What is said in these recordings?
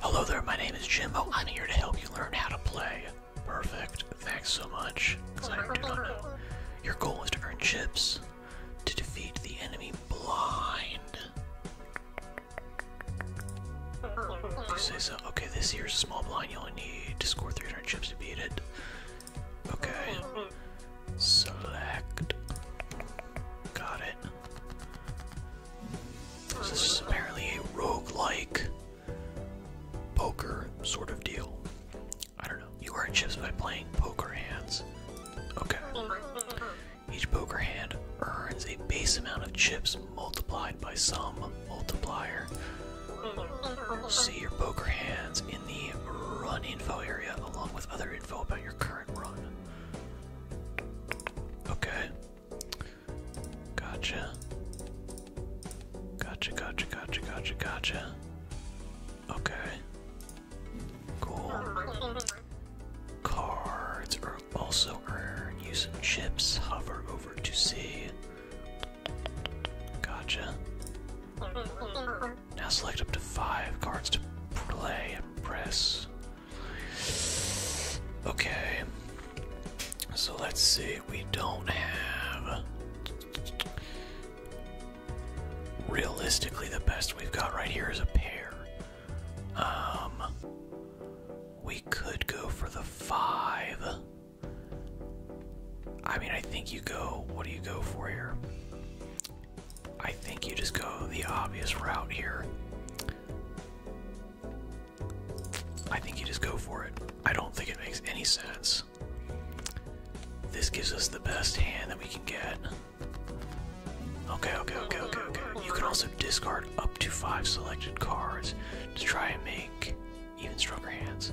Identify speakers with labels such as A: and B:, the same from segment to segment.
A: Hello there, my name is Jimbo. I'm here to help you learn how to play. Perfect. Thanks so much. Your goal is to earn chips to defeat the enemy blind.
B: You
A: say so. Okay, this here's a small blind. You only need to score 300 chips to beat it. Okay. Select. Got it. This is apparently a roguelike poker sort of deal. I don't know. You earn chips by playing poker hands. Okay. Each poker hand earns a base amount of chips multiplied by some multiplier. See your poker hands in the run info area along with other info about your current run. Okay. Gotcha. Gotcha, gotcha, gotcha, gotcha, gotcha. Okay. Cool. Cards are also earned using chips. Hover over to see. Gotcha. Now select up to five cards to play and press Okay. So let's see. We don't have. Realistically, the best we've got right here is a pair. Um. We could go for the five. I mean, I think you go. What do you go for here? I think you just go the obvious route here. I think you just go for it. I don't think it makes any sense. This gives us the best hand that we can get. Okay, okay, okay, okay, okay. You can also discard up to five selected cards to try and make even stronger hands.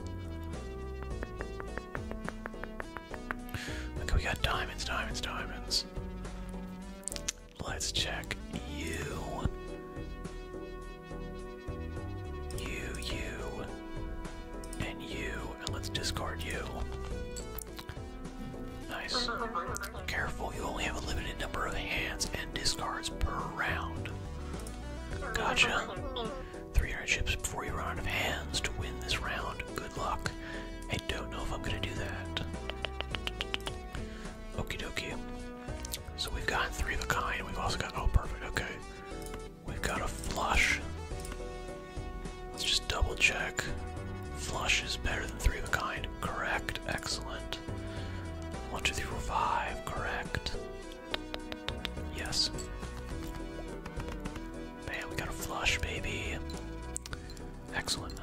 A: Okay, we got diamonds, diamonds, diamonds. Let's check you. You, you, and you. And let's discard you. Nice. Careful, you only have a limited number of hands and discards per round. Gotcha. 300 chips before you run out of hands to win this round. Good luck. I don't know if I'm gonna do that. Okie dokie. So we've got three of a kind. We've also got oh perfect okay. We've got a flush. Let's just double check. Flush is better than three of a kind. Correct. Excellent. One, two, three, four, five. Correct. Yes. Man, we got a flush, baby. Excellent.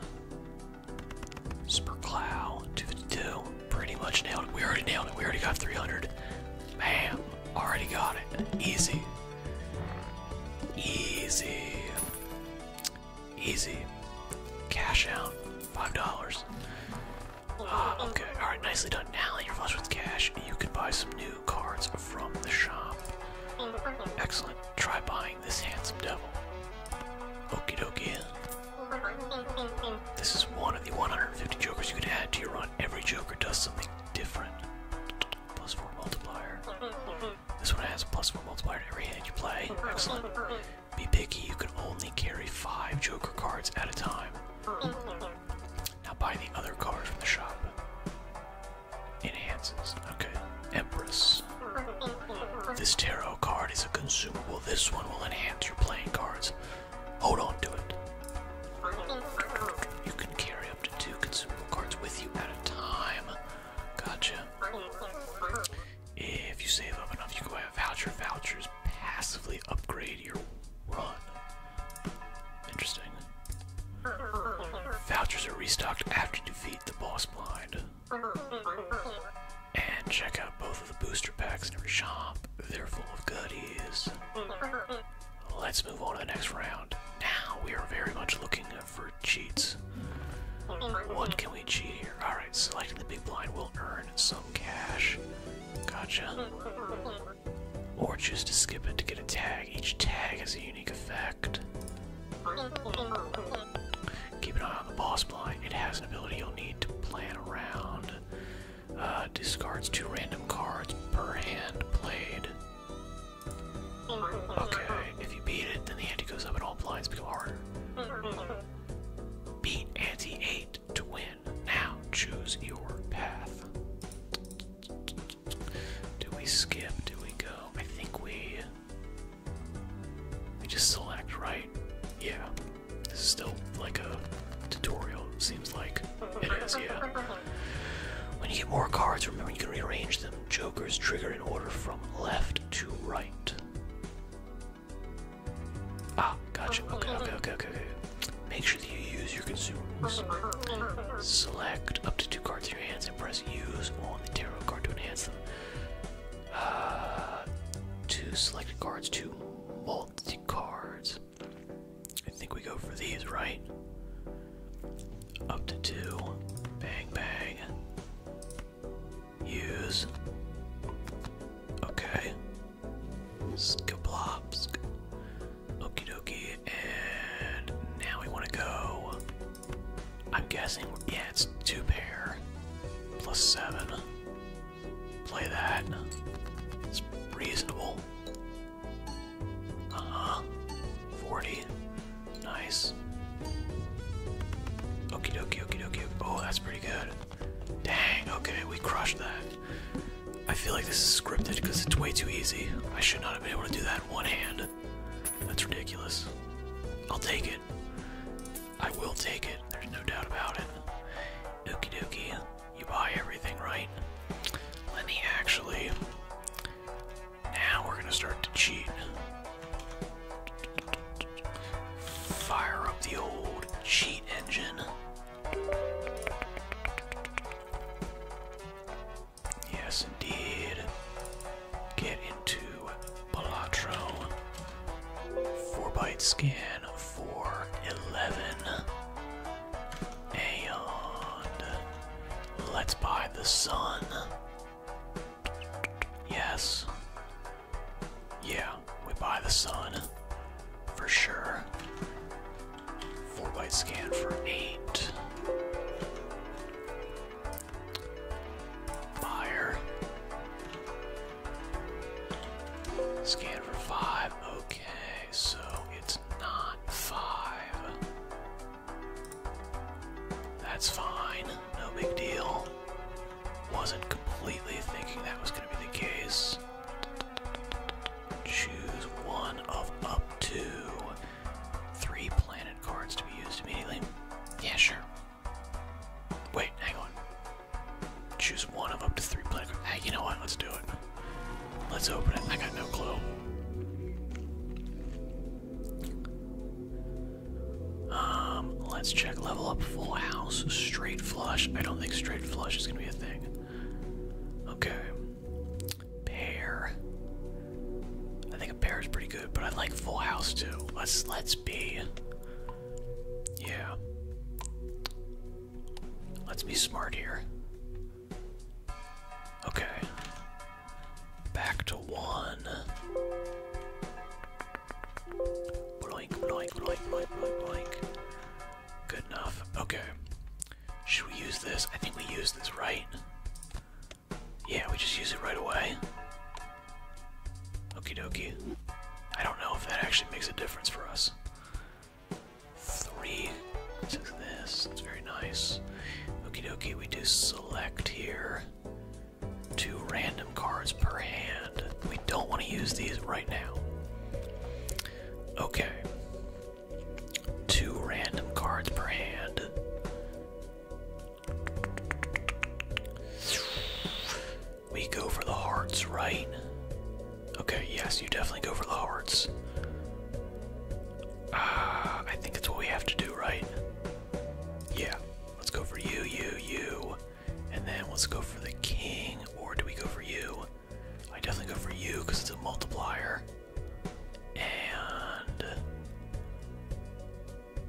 A: Superclow, 252. Pretty much nailed it. We already nailed it. We already got 300. Bam. Already got it. Easy. Easy. Easy. Cash out. $5. Ah, okay. Alright, nicely done. Now that you're flush with cash, you can buy some new cards from the shop. Excellent. Try buying this handsome devil. Okey dokey. This is one of the 150 jokers you could add to your run. Every joker does something different. Plus four multiplier. This one has plus four multiplier to every hand you play. Excellent. Be picky, you can only carry five joker cards at a time. Now buy the other card from the shop. Enhances. Okay. Empress. This tarot card is a consumable. This one will enhance your playing cards. Hold on to it. You can carry up to two consumable cards with you at a time. Gotcha. If you save up enough, you can buy a voucher. Vouchers passively upgrade your run. Interesting. Vouchers are restocked after defeat the boss blind. And check out both of the booster packs in every shop. They're full of goodies. Let's move on to the next round. Now we are very much looking for cheats. What can we cheat here? Alright, selecting the big blind will earn some cash. Gotcha. Or choose to skip it to get a tag. Each tag has a unique effect. Keep an eye on the boss blind. It has an ability you'll need to plan around. Uh, discards two random cards per hand played. Okay, if you beat it, then the ante goes up and all blinds become harder. Beat ante 8 to win. Now choose your path. Do we skip? Do we go? I think we we just select, right? Yeah. This is still like a tutorial, seems like. It is, yeah. When you get more cards, remember you can rearrange them. Jokers trigger in order from left to right. Ah, gotcha. Okay, okay, okay, okay, okay. Make sure that you use your consumables. Select up to two cards in your hands and press use on the tarot card to enhance them. two selected cards, two multi cards. I think we go for these, right? Up to two. Bang, bang. Use. Okay. Skablops. Okie dokie. And now we want to go. I'm guessing, yeah, it's two pair plus seven. Play that. It's reasonable. Uh-huh. 40. Nice. Okie dokie, okie dokie. Oh, that's pretty good. Dang, okay, we crushed that. I feel like this is scripted because it's way too easy. I should not have been able to do that in one hand. That's ridiculous. I'll take it. I will take it, there's no doubt about it. Okie dokie, you buy everything, right? Let me actually. Now we're gonna start to cheat. Fire up the old cheat engine. Yes, indeed. Get into Palatron. Four byte scan for eleven. And let's buy the sun. Yes. Yeah, we buy the sun. For sure. Four byte scan for eight. Buyer. Scan for five. Okay, so it's not five. That's fine. No big deal. Wasn't completely thinking that was going to be the case. Choose one of up to three planet cards to be used immediately. Yeah, sure. Wait, hang on. Choose one of up to three players. Hey, you know what? Let's do it. Let's open it. I got no clue. Um, let's check level up full house. Straight flush. I don't think straight flush is gonna be a thing. Okay. Pair. I think a pair is pretty good, but I like full house too. Let's let's be yeah. Let's be smart here. Okay. Back to one. Bloink, bloink, bloink, bloink, bloink, bloink. Good enough. Okay. Should we use this? I think we use this, right? Yeah, we just use it right away. Okie dokie. I don't know if that actually makes a difference for us. Three. What is this? It's very nice. Okie dokie, we do select here two random cards per hand. We don't want to use these right now. Okay. Two random cards per hand. We go for the hearts, right? Okay, yes, you definitely go for the hearts. Ah, I think it's what we have to do, right? Yeah, let's go for you, you, you. And then let's go for the king, or do we go for you? I definitely go for you because it's a multiplier. And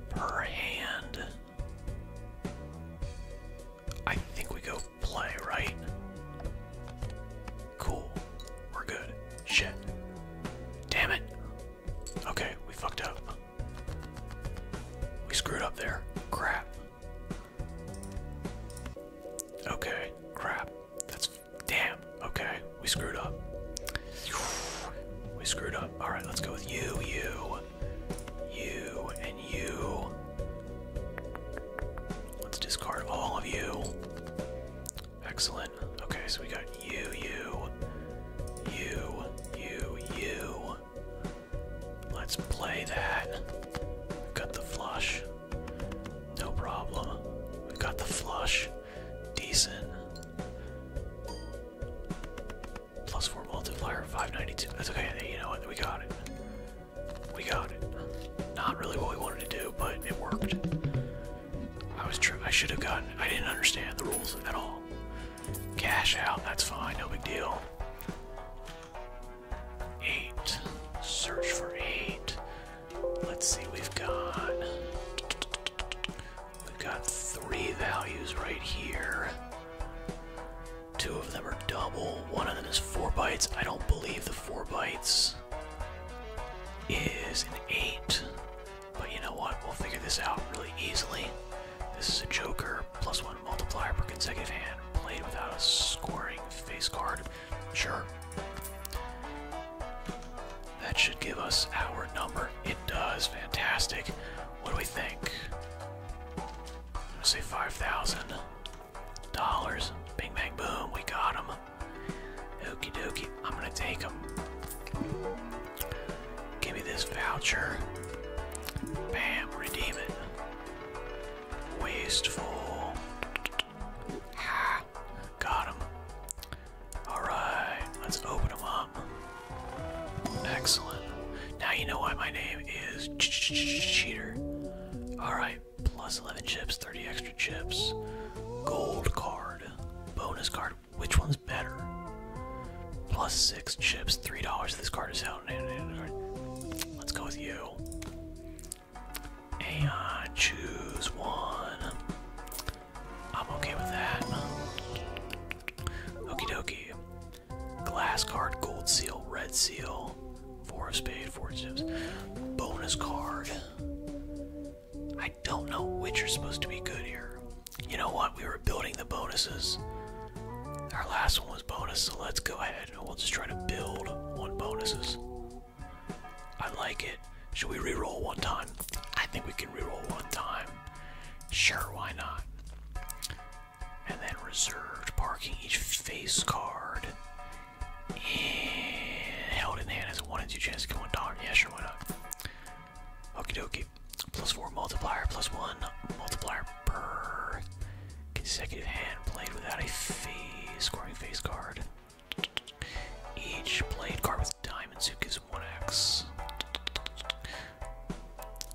A: per hand. I think we go play, right? Cool. We're good. Shit. Damn it. Okay, we fucked up. We screwed up there. Crap. Okay, crap. That's damn. Okay, we screwed up. We screwed up. All right, let's go with you, you, you and you. Let's discard all of you. Excellent. Okay, so we got you, you, you, you, you. Let's play that. We've got the flush. No problem. We've got the flush. Decent. Plus four multiplier, 592. That's okay. you know what? We got it. We got it. Not really what we wanted to do, but it worked. I was true. I should have gotten. I didn't understand the rules at all. Cash out. That's fine. No big deal. Eight. Search for eight. Let's see. We've got. We've got three values right here. Two of them are double. One of them is four bytes. I don't believe the four bytes is an eight. But you know what? We'll figure this out really easily. This is a joker. Plus one multiplier per consecutive hand. Played without a scoring face card. Sure. That should give us our number. It does. Fantastic. What do we think? gonna say five thousand dollars. Bing bang boom, we got him. Okie dokie, I'm gonna take him. Give me this voucher. Bam, redeem it. Wasteful. got him. Alright, let's open him up. Excellent. Now you know why my name is Cheater. Alright, plus 11 chips, 30 extra chips. Gold card, bonus card. Which one's better? Plus 6 chips, $3. This card is out. Let's go with you. And choose one. I'm okay with that. Okie dokie. Glass card, gold seal, red seal, four of spades, four of chips, bonus card. I don't know which are supposed to be good here. You know what? We were building the bonuses. Our last one was bonus, so let's go ahead we'll just try to build one bonuses. I like it. Should we reroll one time? I think we can reroll one time. Sure, why not? And then reserved parking each face card. And held in hand as a 1 and 2 chance to kill one dollar. Yeah, sure, why not? Okie dokie. Plus 4 multiplier, plus 1 multiplier per consecutive hand played without a face scoring face card. Each played card with diamonds who is 1x.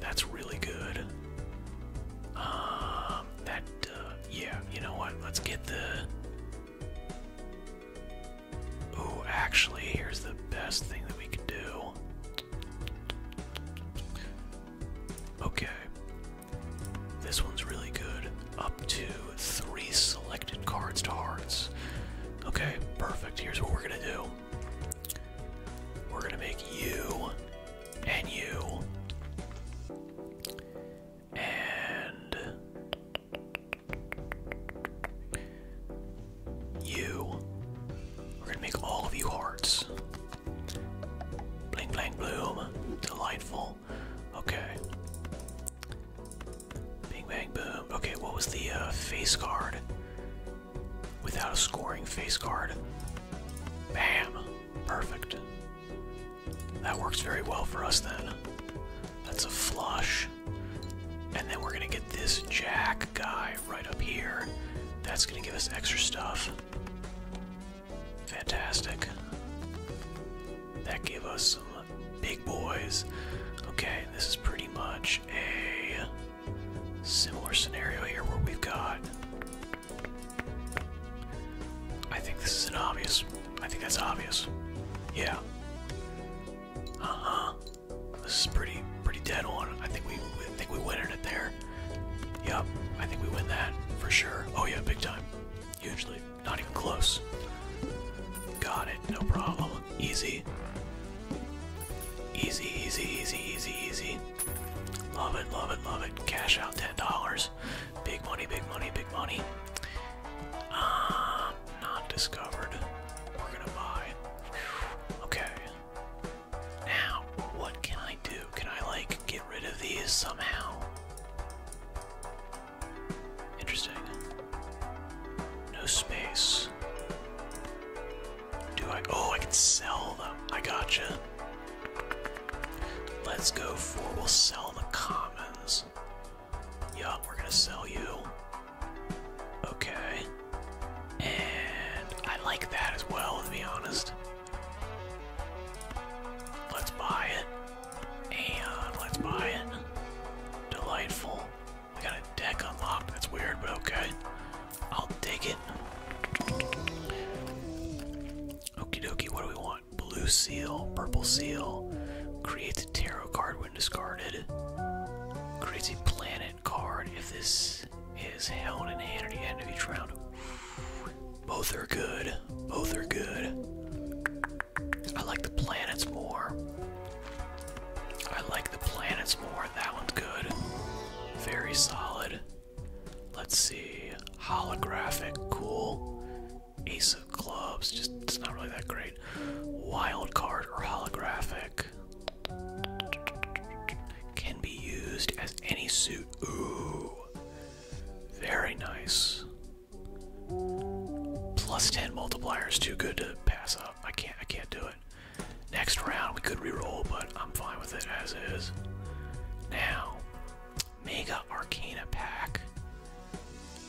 A: That's really good. Um, that, uh, yeah, you know what? Let's get the. Oh, actually, here's the best thing that we can do. Okay. This one's really good. Up to three selected cards to hearts. Okay, perfect. Here's what we're gonna do. We're going to make you and you and you. We're going to make all of you hearts. Bling, bling, bloom. Delightful. Okay. Bing, bang, boom. Okay, what was the uh, face card? without a scoring face card. Bam! Perfect. That works very well for us then. That's a flush. And then we're gonna get this jack guy right up here. That's gonna give us extra stuff. Fantastic. That gave us some big boys. Okay, this is pretty much a Similar scenario here where we've got. I think this is an obvious. I think that's obvious. Yeah. Uh-huh. This is pretty pretty dead on. I think we I think we win in it there. Yep, I think we win that for sure. Oh yeah, big time. Hugely. Not even close. Got it, no problem. Easy. Easy, easy, easy, easy, Love it, love it, love it. Cash out $10. Big money, big money, big money. Um, not discovered. We're gonna buy. Okay. Now, what can I do? Can I, like, get rid of these somehow? Interesting. No space. Do I? Oh, I can sell them. I gotcha. Let's go for. We'll sell the commons. Yeah, we're gonna sell you. Okay. And I like that as well, to be honest. Let's buy it. And let's buy it. Delightful. I got a deck unlocked. That's weird, but okay. I'll take it. Okie dokie, what do we want? Blue seal, purple seal. Creates a tarot card when discarded. Crazy planet card if this is held in hand at the end of each round. Both are good. Both are good. I like the planets more. I like the planets more. That one's good. Very solid. Let's see. Holographic. Cool. Ace of clubs. Just it's not really that great. Wild card or holographic. Can be used as any suit. Ooh. Very nice. Plus 10 multiplier is too good to pass up. I can't I can't do it. Next round, we could reroll, but I'm fine with it as is. Now, Mega Arcana Pack.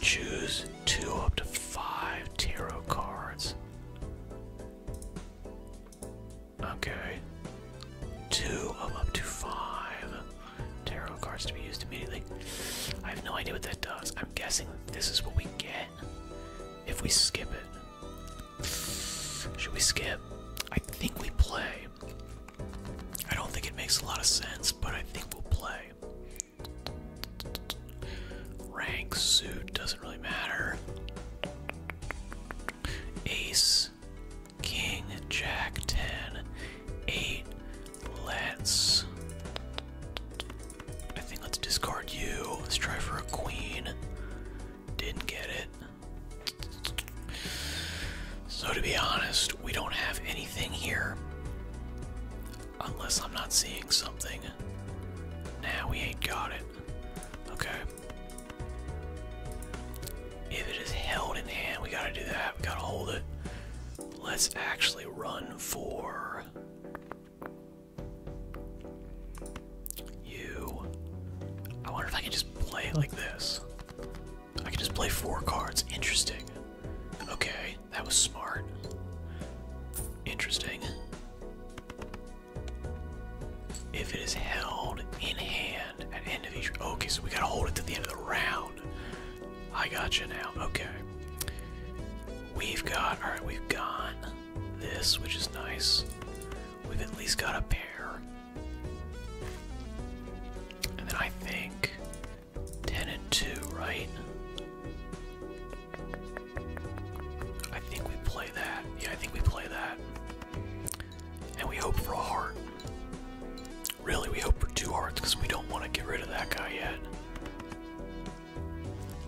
A: Choose two up to five tarot cards. Okay. Two of up to five tarot cards to be used immediately. I have no idea what that does. I'm guessing this is what we get if we skip it. Should we skip? I think we play. I don't think it makes a lot of sense, but I think we'll play. Rank, suit, doesn't really matter. Ace, king, jack, Ten, Let's. I think let's discard you. Let's try for a queen. Didn't get it. So, to be honest, we don't have anything here. Unless I'm not seeing something. Now we ain't got it. Okay. If it is held in hand, we gotta do that. We gotta hold it. Let's actually run for. You. I wonder if I can just play like this. I can just play four cards. Interesting. Okay, that was smart. Interesting. If it is held in hand at end of each. Okay, so we gotta hold it to the end of the round. I got you now. Okay. We've got. Alright, we've got this, which is nice. We've at least got a pair. And then I think 10 and 2, right? I think we play that. Yeah, I think we play that. And we hope for a heart. Really, we hope for two hearts because we don't want to get rid of that guy yet.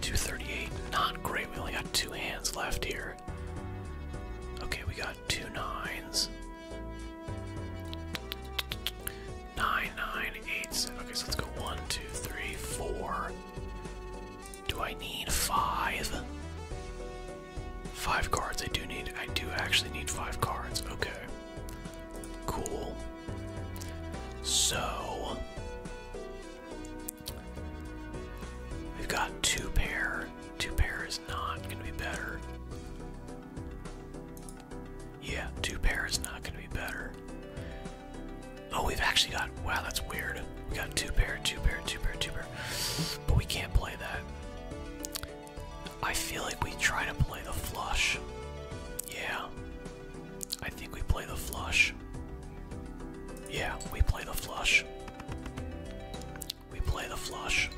A: 238, not great. We only got two hands left here. Okay, we got two nines. Nine, nine, eight, seven. Okay, so let's go one, two, three, four. Do I need five? Five cards. I do need. I do actually need five cards. Okay. Cool. So. We've got two pair. Two pair is not going to be better. Yeah, two pair is not going to be better. Oh, we've actually got. Wow, that's weird. We got two pair, two pair, two pair, two pair. But we can't play that. I feel like we try to play the flush. Yeah. I think we play the flush. Yeah, we play the flush. We play the flush.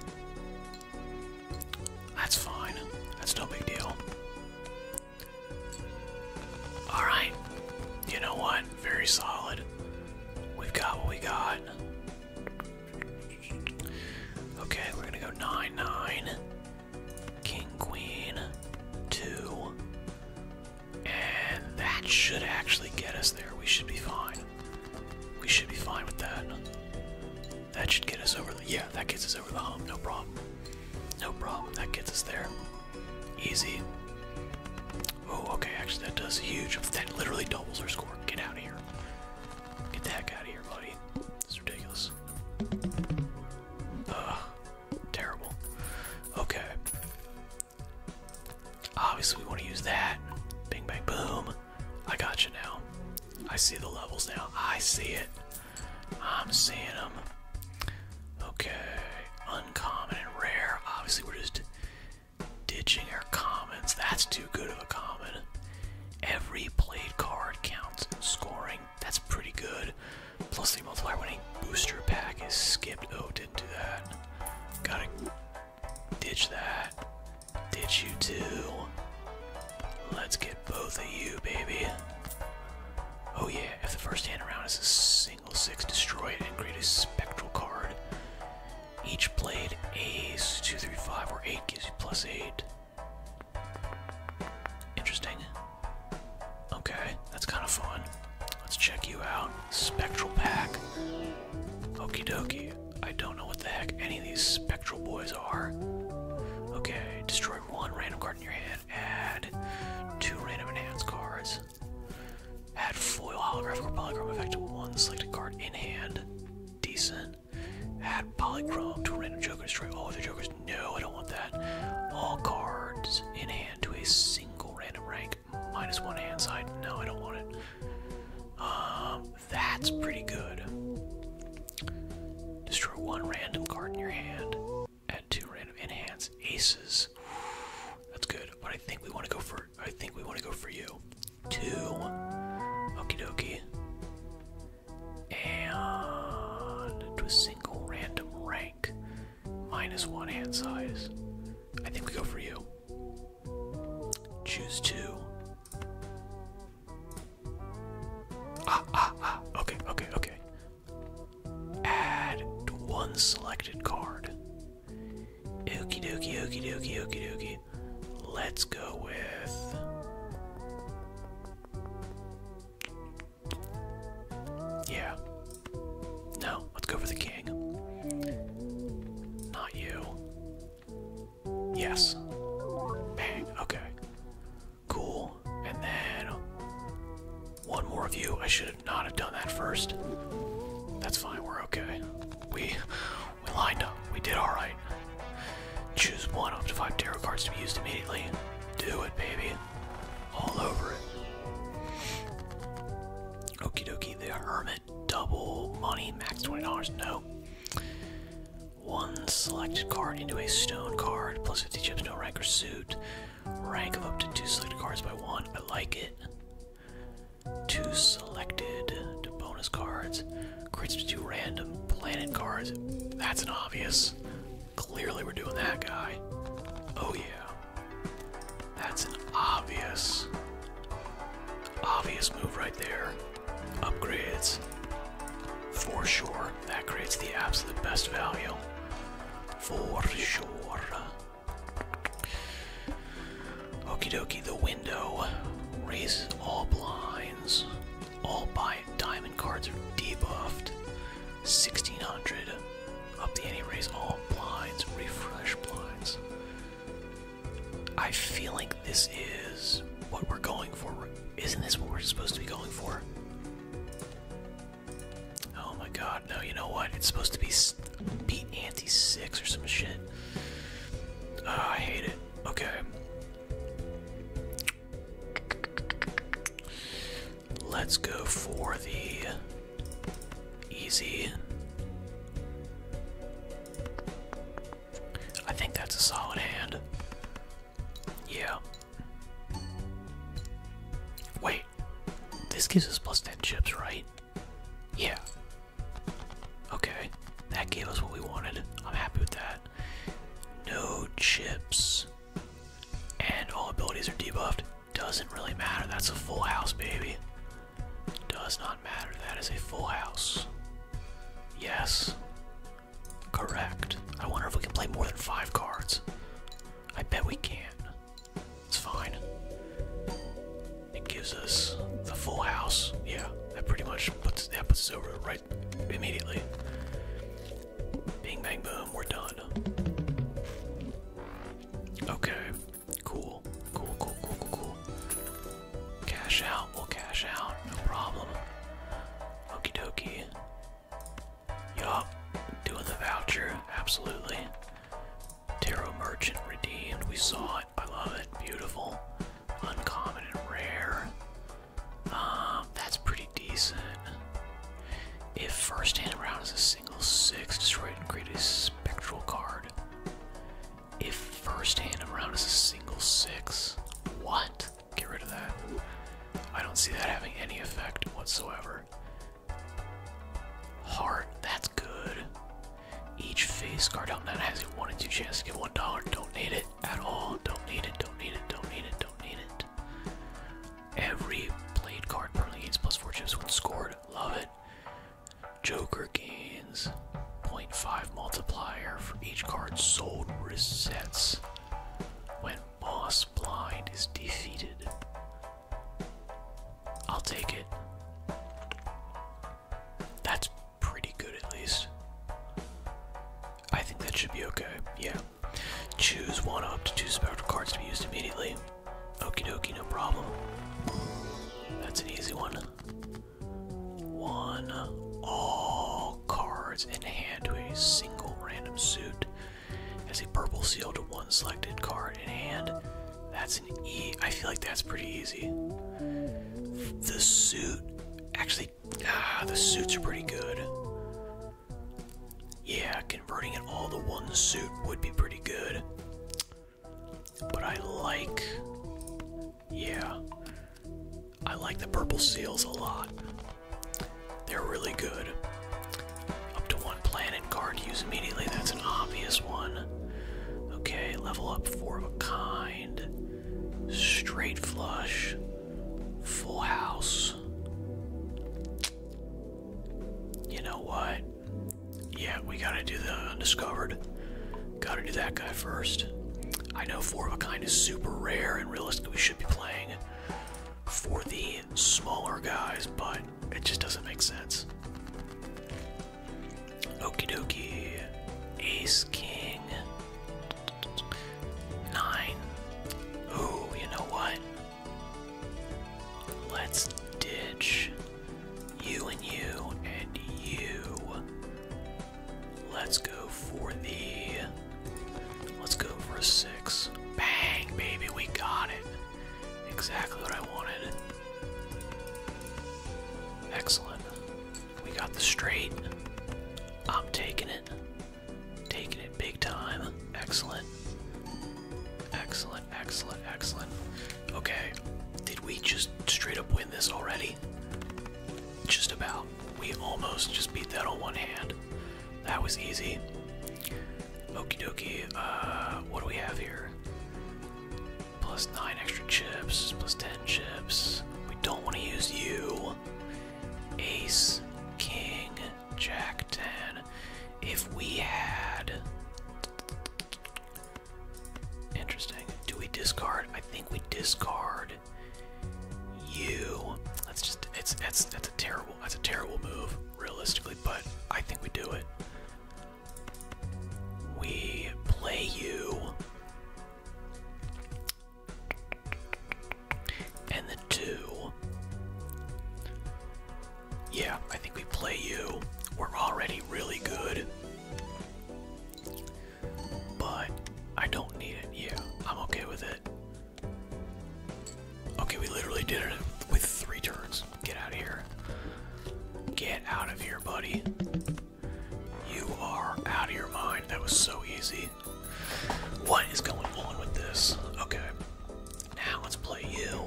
A: That's fine. That's no big deal. Alright. You know what? Very solid. We've got what we got. Okay, we're gonna go 9 9. King, Queen, 2. And that should actually get us there. We should be fine. We should be fine with that. That should get us over the. Yeah, that gets us over the hump. No problem. No problem. That gets us there. Easy. Oh, okay. Actually, that does huge. That literally doubles our score. Get out of here. Get the heck out of here, buddy. It's ridiculous. Ugh. Terrible. Okay. Obviously, we want to use that. Bing, bang, boom. I got you now. I see the levels now. I see it. I'm seeing them. Okay, uncommon and rare. Obviously, we're just ditching our commons. That's too good of a common. Every played card counts scoring. That's pretty good. Plus, the multiplier winning booster pack is skipped. Oh, didn't do that. Gotta ditch that. Ditch you too. Let's get both of you, baby. Oh yeah, if the first hand around is a single six, destroy it and create a spectral card. Each played ace, two, three, five, or eight gives you plus eight. Interesting. Okay, that's kind of fun. Let's check you out. Spectral Pack. Okey-dokey. I don't know what the heck any of these spectral boys are. Okay, destroy one random card in your hand. Add two random enhanced cards. Add foil, holographic, or polychrome effect to one selected card in hand. Decent. Add polychrome to a random joker. Destroy all the jokers. No, I don't want that. All cards in hand to a single random rank one hand size. No, I don't want it. Um, that's pretty good. Destroy one random card in your hand. Add two random enhance aces. That's good. But I think we want to go for I think we want to go for you. Two. Okey dokey. And to a single random rank. Minus one hand size. I think we go for you. Choose two. Ah, ah, ah. Okay, okay, okay. Add one selected card. Okie dokie, okie dokie, okie dokie. Let's go with. Yeah, no, let's go for the king. Not you. Yes. Bang, okay. Cool. And then one more of you. I should not have done that first. That's fine, we're okay. We we lined up. We did alright. Choose one up to five tarot cards to be used immediately. Do it, baby. All over it. Okie dokie, the hermit double money, max $20, no. One selected card into a stone card, plus 50 chips, no rank or suit. Rank of up to two selected cards by one. I like it. Two selected bonus cards. Creates two random planet cards. That's an obvious. Clearly, we're doing that guy. Oh, yeah. That's an obvious, obvious move right there. Upgrades, for sure. That creates the absolute best value, for sure. Okie dokie, the window raises all blinds. All buy diamond cards are debuffed. 1600. Up the ante, raise all blinds, refresh blinds. I feel like this is what we're going for. Isn't this what we're supposed to be going for? Oh my god, no, you know what? It's supposed to be beat anti six or some shit. Uh, I hate it. Okay. Let's go for the Easy. I think that's a solid hand. Yeah. Wait. This gives us plus 10 chips, right? Yeah. Okay. That gave us what we wanted. I'm happy with that. No chips. And all abilities are debuffed. Doesn't really matter. That's a full house, baby. Does not matter. That is a full house. Yes. Correct. I wonder if we can play more than five cards. I bet we can. It's fine. It gives us the full house. Yeah, that pretty much puts that puts us over right immediately. Bing bang boom, we're done. Okay. Cool. Cool, cool, cool, cool, cool. Cash out. We'll cash out. No problem. Okie dokie. Yup. Doing the voucher. Absolutely. Tarot Merchant redeemed. We saw it. I love it. Beautiful. Uncommon and rare. Um, that's pretty decent. If first hand round is a single six, destroy it and create a spectral card. If first hand around is a single six, what? Get rid of that. I don't see that having any effect whatsoever. Heart, that's good. Each face card out now has a 1 in 2 chance to get $1. Don't need it at all. Don't need it, don't need it, don't need it, don't need it. Every played card permanently gains plus 4 chips when scored. Love it. Joker gains 0.5 multiplier for each card sold resets when Boss Blind is defeated. I'll take it. That's pretty good, at least. I think that should be okay, yeah. Choose one up to two spectral cards to be used immediately. Okie dokie, no problem. That's an easy one. One. All cards in hand to a single random suit. As a purple seal to one selected card in hand. That's an E. I feel like that's pretty easy. The suit. Actually, ah, the suits are pretty good. Yeah, converting it all to one suit would be pretty good. But I like, yeah, I like the purple seals a lot. They're really good. Up to one planet card use immediately, that's an obvious one. Okay, level up four of a kind. Straight flush. Full house. You know what? Yeah, we gotta do the undiscovered. Gotta do that guy first. I know four of a kind is super rare and realistically we should be playing for the smaller guys, but it just doesn't make sense. Okie dokie. Ace King. Nine. Ooh, you know what? Let's ditch you and you and you. Let's go for the. Let's go for a six. Bang, baby, we got it. Exactly what I wanted. Excellent. We got the straight. I'm taking it. Taking it big time. Excellent. Excellent. Excellent, excellent, Okay, did we just straight up win this already? Just about. We almost just beat that on one hand. That was easy. Okie dokie, uh, what do we have here? Plus 9 extra chips, plus 10 chips. We don't want to use you. Ace, King, Jack 10. If we had. Interesting. Do we discard? I think we discard you. That's just it's that's that's a terrible that's a terrible move, realistically, but I think we do it. We play you. And the two. Yeah, I think we play you. We're already really good. But I don't need it. Yeah, I'm okay with it. Okay, we literally did it with three turns. Get out of here. Get out of here, buddy. You are out of your mind. That was so easy. What is going on with this? Okay. Now let's play you.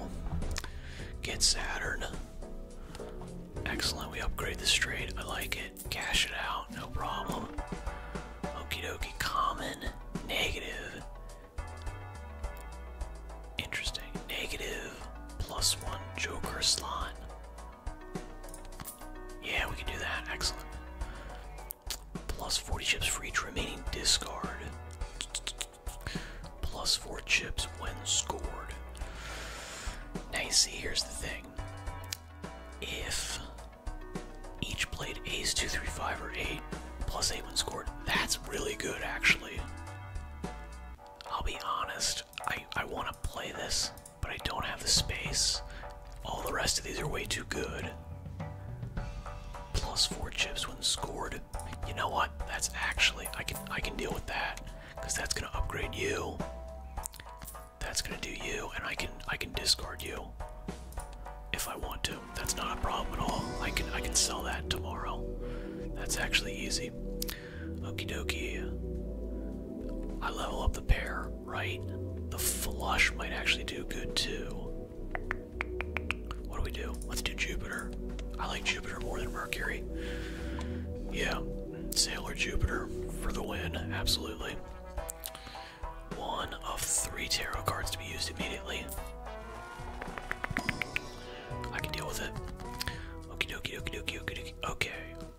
A: Get Saturn. Excellent, we upgrade the straight. I like it. Cash it out, no problem. Okey dokey. common, negative. Interesting. Negative, plus one Joker slot. Yeah, we can do that. Excellent. Plus 40 chips for each remaining discard. Plus four chips when scored. Now you see, here's the thing. If each played ace, two, three, five, or eight, plus eight when scored, that's really good actually. I'll be honest, I, I want to play this, but I don't have the space. All the rest of these are way too good. Plus four chips when scored. You know what? That's actually I can I can deal with that because that's gonna upgrade you. That's gonna do you, and I can I can discard you if I want to. That's not a problem at all. I can I can sell that tomorrow. That's actually easy. Okey dokie. I level up the pair, right? The flush might actually do good too. What do we do? Let's do Jupiter. I like Jupiter more than Mercury. Yeah, Sailor Jupiter for the win, absolutely. One of three tarot cards to be used immediately. I can deal with it. Okie dokie, okie dokie, okie dokie. Okay,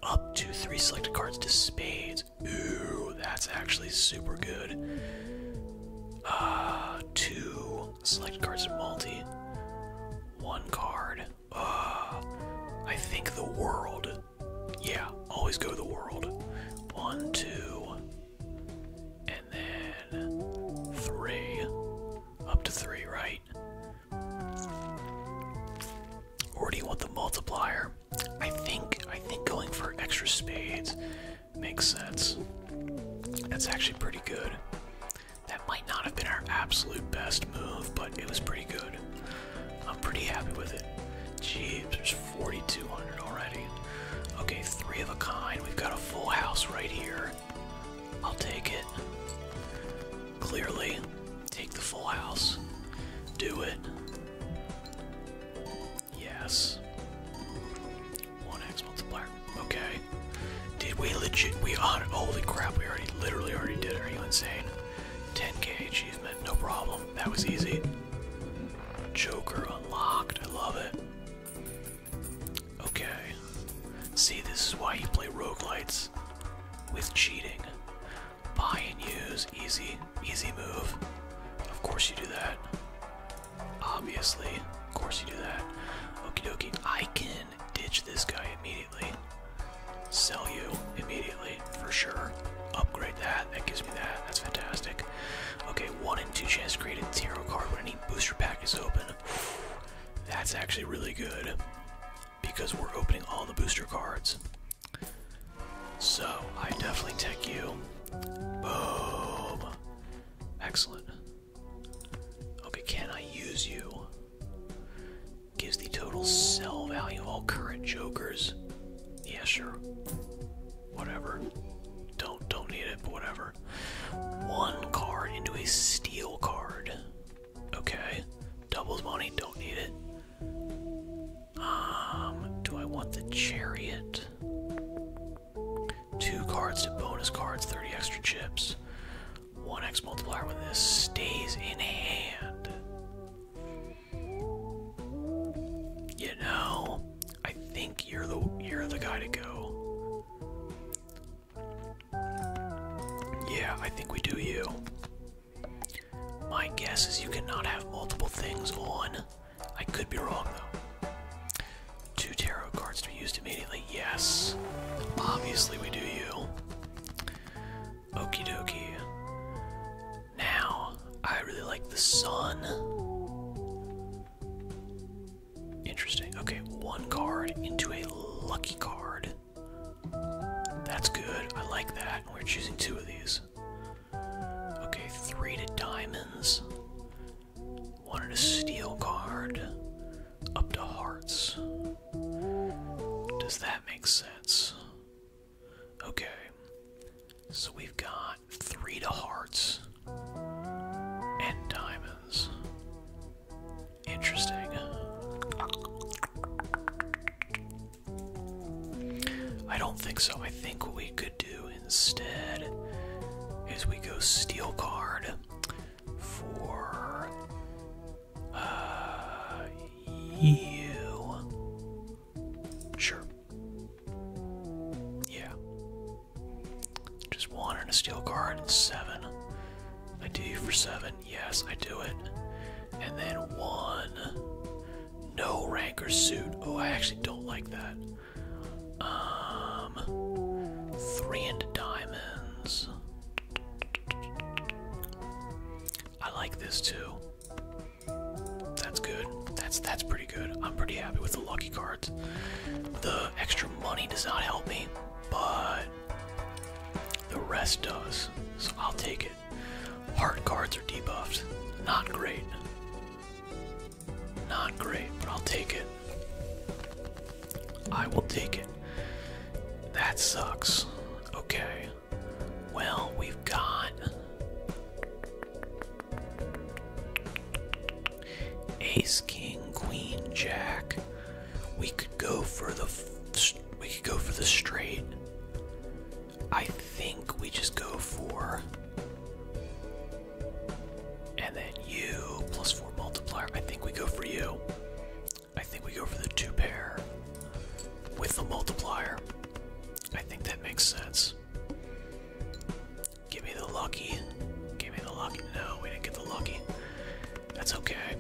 A: up to three selected cards to spades. Ooh, that's actually super good. Uh, two selected cards to multi. One card uh, I think the world. Yeah, always go the world. One, two, and then three. Up to three, right? Or do you want the multiplier? I think I think going for extra spades makes sense. That's actually pretty good. That might not have been our absolute best move, but it was pretty good. I'm pretty happy with it. Jeez, there's 4,200 already. Okay, three of a kind. We've got a full house right here. I'll take it. Clearly, take the full house. Do it. Yes. One X multiplier. Okay. Did we legit? We on Holy crap! We already, literally, already did Are you insane? 10k achievement, no problem. That was easy. Joker unlocked. I love it. Okay. See, this is why you play rogue lights with cheating. Buy and use, easy, easy move. Of course you do that. Obviously, of course you do that. Okey dokey. I can ditch this guy immediately. Sell you immediately, for sure. Upgrade that, that gives me that, that's fantastic. Okay, one in two chance to create a zero card when any booster pack is open. That's actually really good because we're opening all the booster cards. So, I definitely take you. Boom. Excellent. Okay, can I use you? Gives the total sell value of all current jokers. Yes sure. Whatever. Don't don't need it, but whatever. One card into a steel card. Okay. Doubles money, don't need it. Um, do I want the chariot? Two cards to bonus cards, 30 extra chips. 1x multiplier when this stays in hand. You know, I think you're the you're the guy to go. Yeah, I think we do you. My guess is you cannot have multiple things on. I could be wrong though. Two tarot cards to be used immediately yes. Obviously we do you. okey dokey. Now, I really like the sun. Interesting. Okay, one card into a lucky card. That's good. I like that. We're choosing two of these. Okay, three to diamonds. One to steel card. Up to hearts. Does that make sense? Okay. So we've got three to hearts and diamonds. Interesting. I don't think so. I think what we could do instead is we go steal card for uh, you. Sure. Yeah. Just one in a steel card and seven. I do you for seven. Yes, I do it. And then one. No rank or suit. Oh, I actually don't like that. Um, three into diamonds. I like this too. That's good. That's that's pretty good. I'm pretty happy with the lucky cards. The extra money does not help me, but the rest does. So I'll take it. Hard cards are debuffed. Not great. Not great, but I'll take it. I will take it. That sucks. Okay. Well, we've got ace, king, queen, jack. We could go for the we could go for the straight. I think we just go for and then you plus four multiplier. I think we go for you. I think we go for the two pair with the multiplier. I think that makes sense. Give me the lucky. Give me the lucky. No, we didn't get the lucky. That's okay.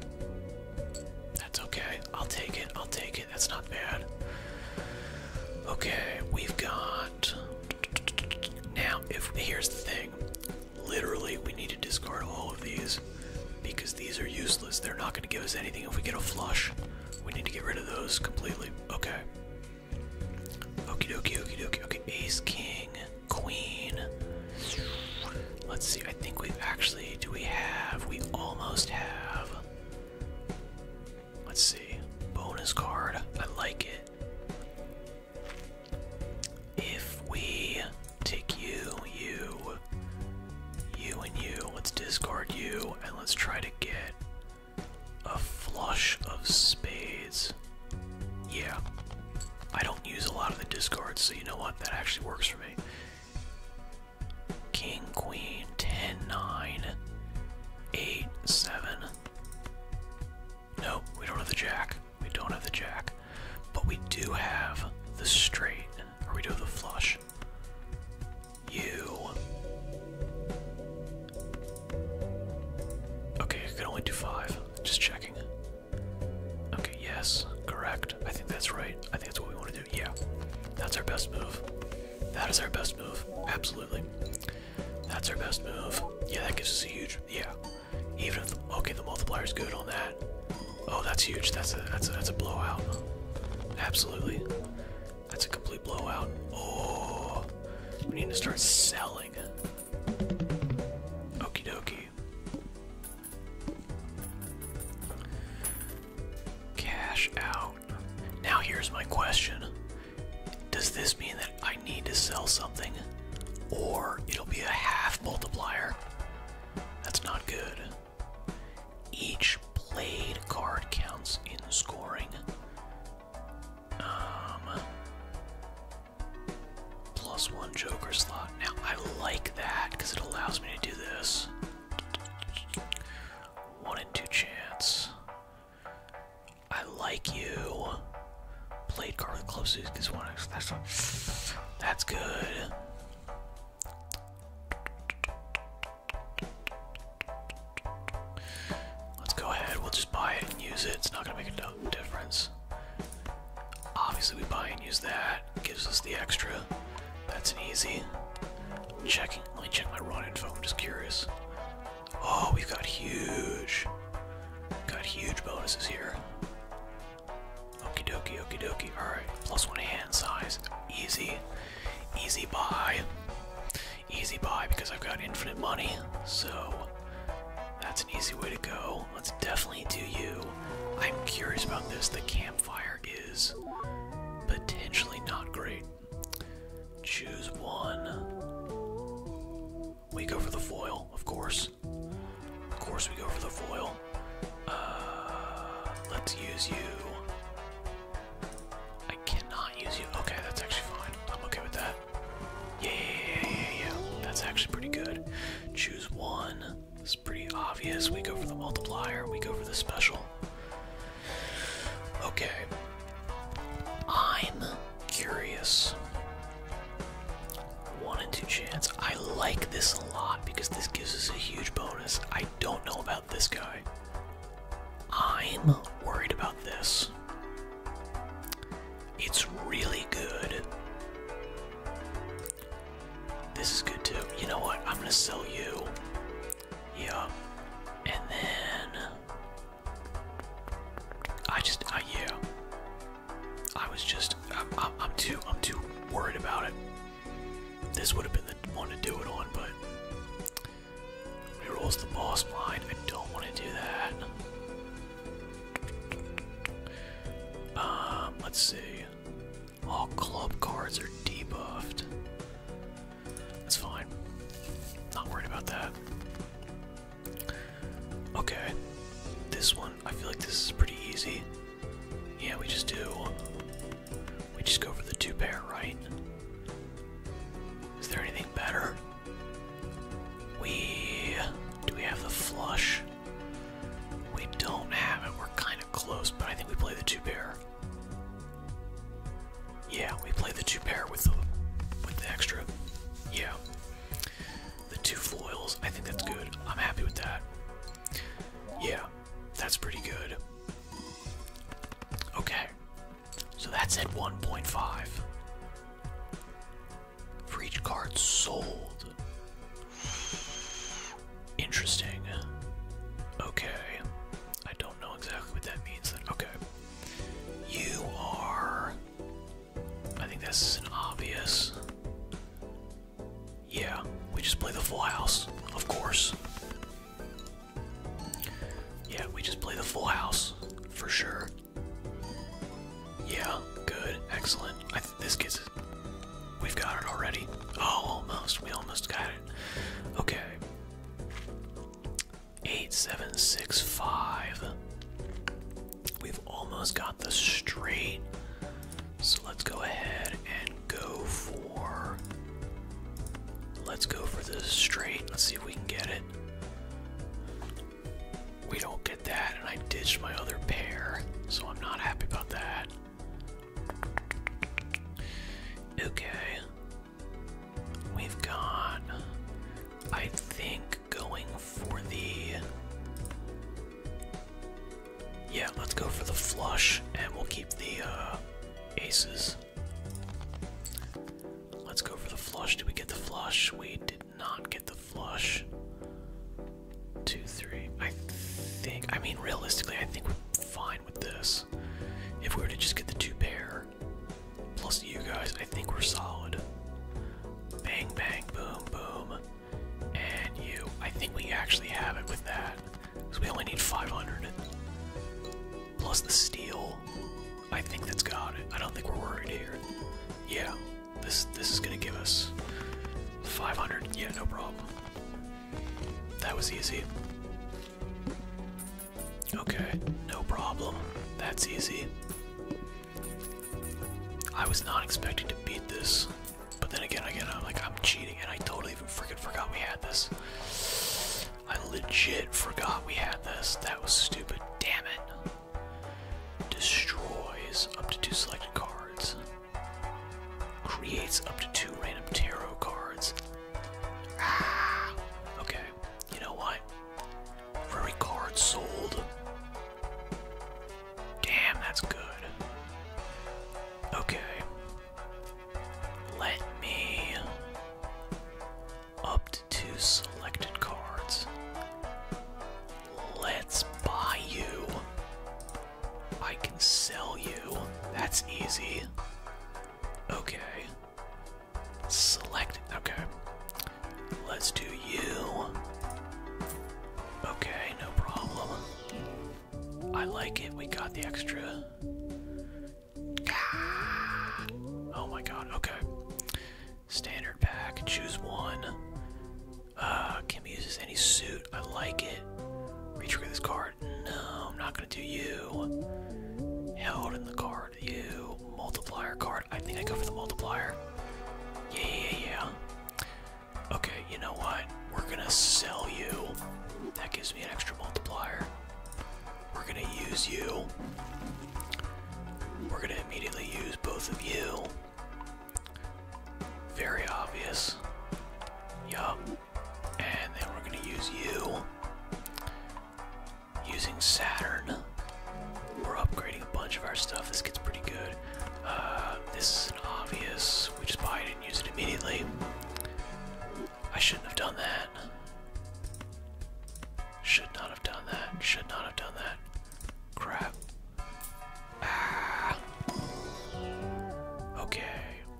A: That's okay. I'll take it. I'll take it. That's not bad. Okay, we've got. Now, if here's the thing Literally, we need to discard all of these because these are useless. They're not going to give us anything if we get a flush. We need to get rid of those completely. Okay. Okie dokie, okie dokie. Okay, ace, king, queen. Let's see, I think we actually. Do we have? We almost have. Let's see. Bonus card. I like it. If we Take you, you, you, and you. Let's discard you, and let's try to get a flush of spades. Yeah. I don't use a lot of the discards, so you know what? That actually works for me. King, queen, 10, 9, we don't have the jack. We don't have the jack, but we do have the straight, or we do the flush. You. Okay, you can only do five. Just checking. Okay, yes, correct. I think that's right. I think that's what we want to do. Yeah, that's our best move. That is our best move. Absolutely. That's our best move. Yeah, that gives us a huge. Yeah. Even if. okay, the multiplier is good on that. Oh, that's huge. That's a that's a that's a blowout. Absolutely. That's a complete blowout. Oh we need to start selling. Okey dokey. Cash out. Now here's my question. Does this mean that I need to sell something? Or it'll be a half multiplier? That's not good. Each played card counts in scoring. Um, one Joker slot. Now, I like that because it allows me to do this. One in two chance. I like you. Played card with closest because one. That's, that's good. Let's go ahead, we'll just buy it and use it. It's not gonna make a difference. Obviously, we buy and use that, gives us the extra. That's an easy. Checking, let me check my run info, I'm just curious. Oh, we've got huge, got huge bonuses here. Okie dokie, okie dokie. Alright, plus one hand size. Easy. Easy buy. Easy buy because I've got infinite money. So that's an easy way to go. Let's definitely do you. I'm curious about this. The campfire is potentially not great. Choose one. We go for the foil, of course. Of course, we go for the foil. Uh, let's use you. I cannot use you. Okay, that's actually fine. I'm okay with that. Yeah, yeah, yeah, yeah, That's actually pretty good. Choose one. It's pretty obvious. We go for the multiplier. We go for the special. Okay. I'm curious. One and two chance. I like this a lot because this gives us a huge bonus. I don't know about this guy. I'm worried about this. It's really good. This is good too. You know what? I'm gonna sell you. Yeah. And then I just, yeah. I was just, I'm too, I'm too worried about it. This would have been the one to do it on, but rerolls the boss blind. I don't want to do that. Um, let's see. All club cards are debuffed. That's fine. Not worried about that. Okay. This one, I feel like this is pretty easy. Yeah, we just do. We just go for the two pair, right? Is there anything better? We. Do we have the flush? We don't have it. We're kind of close, but I think we play the two pair. Yeah, we play the two pair with the with the extra. Yeah. The two foils. I think that's good. I'm happy with that. Yeah, that's pretty good. Okay, so that's at 1.5 for each card sold. Interesting. Okay, I don't know exactly what that means. Then. Okay, you are. I think that's an obvious. Yeah, we just play the full house, of course. Yeah, we just play the full house, for sure. Yeah, good, excellent. I think this gets it. We've got it already. Oh, almost. We almost got it. Okay. 8765. We've almost got the straight. So let's go ahead and go for. Let's go for this straight. Let's see if we can get it. We don't get that, and I ditched my other pair, so I'm not happy about that. Okay. We've got. I think going for the. Yeah, let's go for the flush, and we'll keep the uh, aces. Let's go for the flush. Do we get the flush? We did not get the flush. Two, three. I think. I mean, realistically, I think we're fine with this. If we were to just get the two pair plus you guys, I think we're solid. Bang, bang, boom, boom and you. I think we actually have it with that, because we only need 500. Plus the steel, I think that's got it. I don't think we're worried here. Yeah, this this is gonna give us 500. Yeah, no problem. That was easy. Okay, no problem. That's easy. I was not expecting to beat this. But then again, again, I'm like, I'm cheating, and I totally even freaking forgot we had this. I legit forgot we had this. That was stupid. Damn it. Destroys up to two selected cards. Creates up to two random tarot cards. Ah, okay. You know what? every card sold, Damn, that's good. Okay. Let me up to two selected cards. Let's buy you. I can sell you. That's easy. Okay. Select. Okay. Let's do you. Okay, no problem. I like it. We got the extra. Ah. Oh my god, okay. Standard pack, choose one. Uh, can be used as any suit. I like it. Retrigger this card. No, I'm not gonna do you. Held in the card, you. Multiplier card. I think I go for the multiplier. Yeah, yeah, yeah. Okay, you know what? We're gonna sell you. That gives me an extra multiplier. We're gonna use you. We're gonna immediately use both of you. Very obvious. Yup. And then we're gonna use you. Using Saturn. We're upgrading a bunch of our stuff. This gets pretty good. Uh, this is an obvious. We just buy it use it immediately. I shouldn't have done that. Should not have done that. Should not have done that. Crap. Ah. Okay.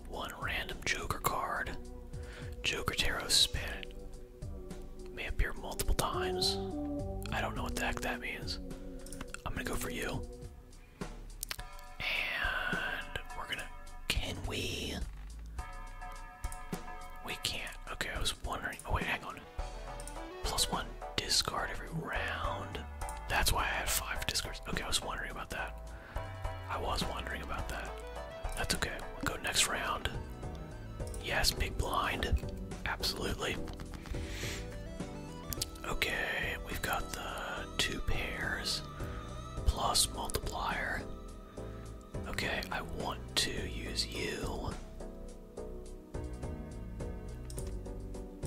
A: One random Joker card. Joker Tarot Spin. May appear multiple times. I don't know what the heck that means. I'm gonna go for you. And we're gonna. Can we? We can't. Okay, I was wondering. Oh, wait, hang on. Plus one discard every round. That's why I had five discards. Okay, I was wondering about that. I was wondering about that. That's okay. We'll go next round. Yes, big blind. Absolutely. Okay, we've got the two pairs plus multiplier. Okay, I want to use you.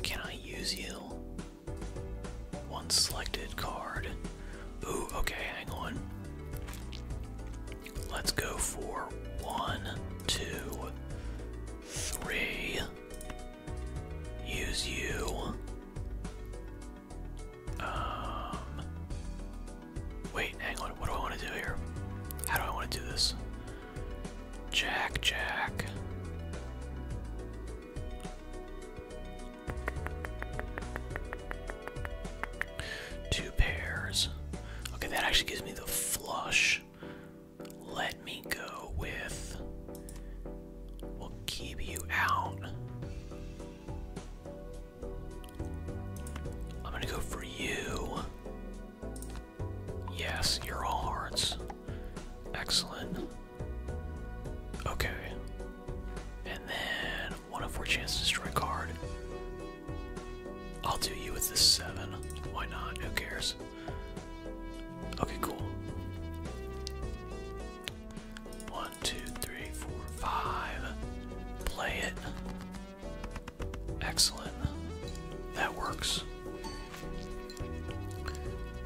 A: Can I use you? One selected card. Ooh, okay, hang on. Let's go for one, two, three use you. Um, wait, hang on. What do I want to do here? How do I want to do this? Jack, Jack. Two pairs. Okay, that actually gives me the flush. Let let me go with. We'll keep you out. I'm gonna go for you. Yes, you're all hearts. Excellent. Okay. And then one of four chance destroy card. I'll do you with this seven. Why not? Who cares? Okay, cool. One, two, three, four, five. Play it. Excellent. That works.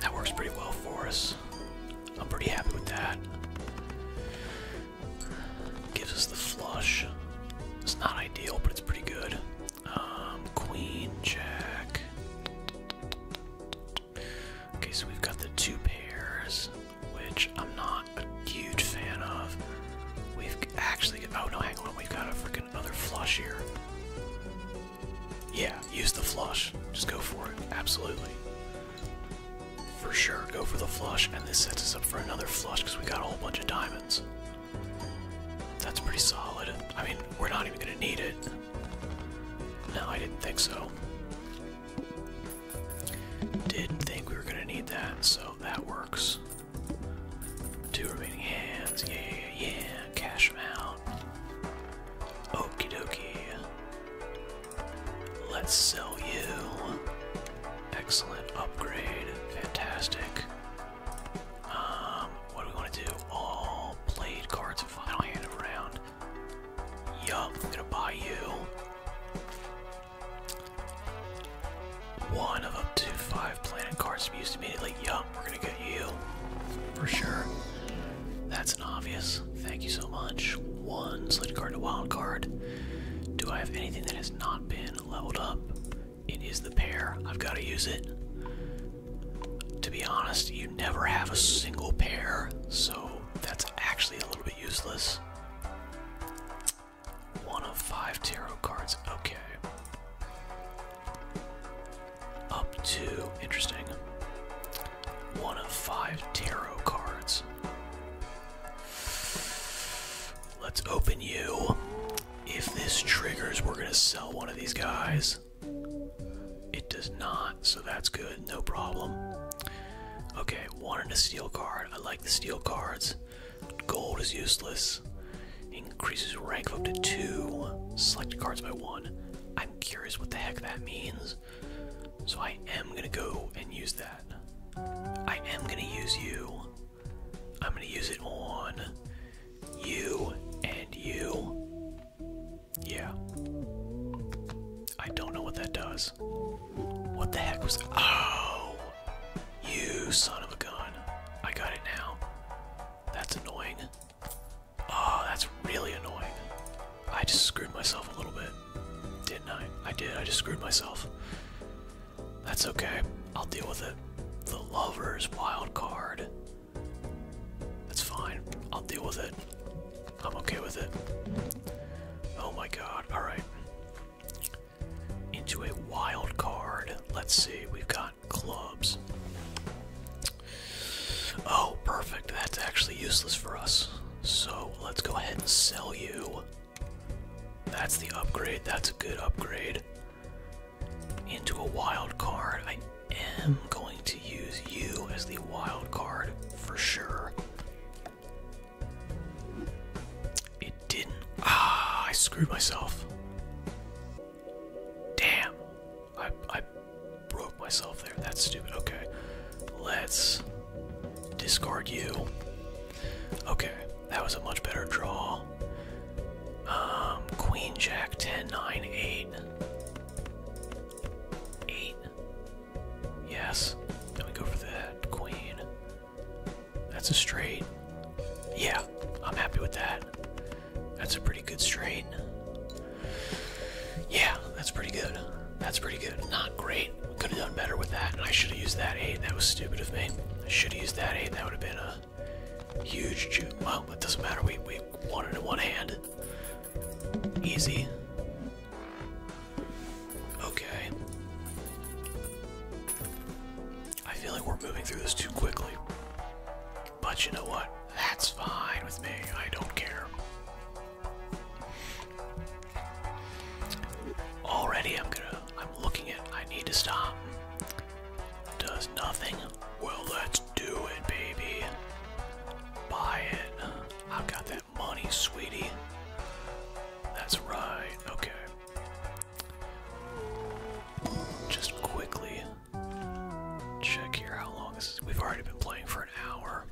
A: That works pretty well for us. I'm pretty happy with that. Gives us the flush. It's not ideal, but it's pretty good. Um, queen, jack. Okay, so we've got the two pairs, which I'm not a huge fan of. We've actually, oh no, hang on, we've got a freaking other flush here. Yeah, use the flush. Just go for it. Absolutely. For sure, go for the flush, and this sets us up for another flush because we got a whole bunch of diamonds. That's pretty solid. I mean, we're not even going to need it. No, I didn't think so. Didn't think we were gonna need that, so that works. Two remaining hands, yeah, yeah, Cash them out. Okey dokey. Let's sell you. Excellent upgrade. Fantastic. Um, what do we want to do? All played cards and final hand of round. Yup, I'm gonna buy you one of up to five planet cards used immediately. Yup, we're gonna get you for sure. That's an obvious. Thank you so much. One slid card to wild card. Do I have anything that has not been leveled up? It is the pair. I've got to use it. To be honest, you never have a single pair, so that's actually a little bit useless. One of five tarot cards, okay. Up to, interesting. One of five tarot cards. Let's open you. If this triggers, we're gonna sell one of these guys. It does not, so that's good, no problem. Okay, one in a steel card. I like the steel cards. Gold is useless. Increases rank up to two. Select cards by one. I'm curious what the heck that means. So I am gonna go and use that. I am gonna use you. I'm gonna use it on you and you. Yeah. I don't know what that does. What the heck was. Oh! You son of a gun. I got it now. That's annoying. Oh, that's really annoying. I just screwed myself a little bit. Didn't I? I did. I just screwed myself. That's okay. I'll deal with it. The Lover's Wild Card. That's fine. I'll deal with it. I'm okay with it. Oh my god. Alright. Into a wild card. Let's see. We've got clubs. Oh, perfect. That's actually useless for us. So let's go ahead and sell you. That's the upgrade. That's a good upgrade. Into a wild card am going to use you as the wild card for sure. It didn't. Ah, I screwed myself. Damn. I, I broke myself there. That's stupid. Okay. Let's discard you. Okay. That was a much better draw. Um, Queen Jack 10 8. Eight. Yes. Then we go for the queen. That's a straight. Yeah, I'm happy with that. That's a pretty good straight. Yeah, that's pretty good. That's pretty good. Not great. Could have done better with that. I should have used that eight. That was stupid of me. I should have used that eight. That would have been a huge. Well, it doesn't matter. We we won it in one hand. Easy. Okay. I feel like we're moving through this too quickly. But you know what? That's fine with me. I don't care. Already I'm gonna I'm looking at I need to stop. Does nothing. Well, that's do it, baby. Buy it. I've got that money, sweetie. That's right. Okay. Just quickly check here how long this is. We've already been playing for an hour.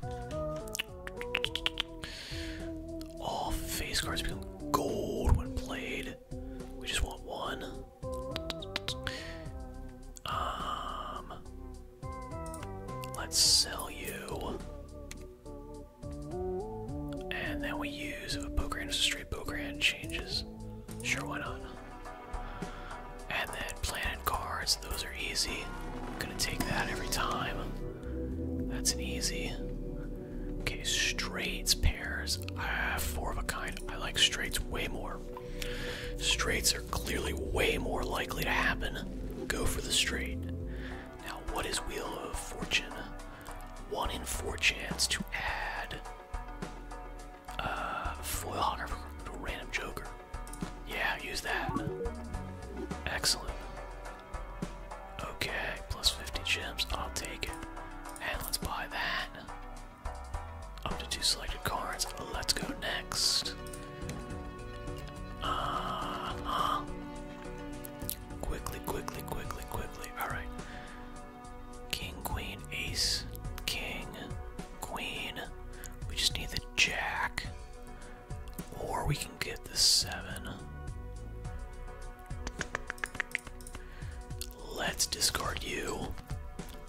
A: All face cards become gold when played. We just want one. Um, Let's sell you. And then we use if a poker hand is a straight poker hand changes. Sure, why not? And then planet cards, those are easy. I'm gonna take that every time. That's an easy. Okay, straights, pairs, I ah, have four of a kind. I like straights way more. Straights are clearly way more likely to happen. Go for the straight. Now, what is Wheel of Fortune? One in four chance to add a uh, foil hunter to a random joker. Yeah, use that. Excellent. Okay, plus 50 gems. I'll take it. And let's buy that. Up to two selected cards. Let's go next. Uh Quickly, quickly, quickly, quickly. Alright. King, queen, ace, king, queen. We just need the jack. Or we can get the seven. Let's discard you.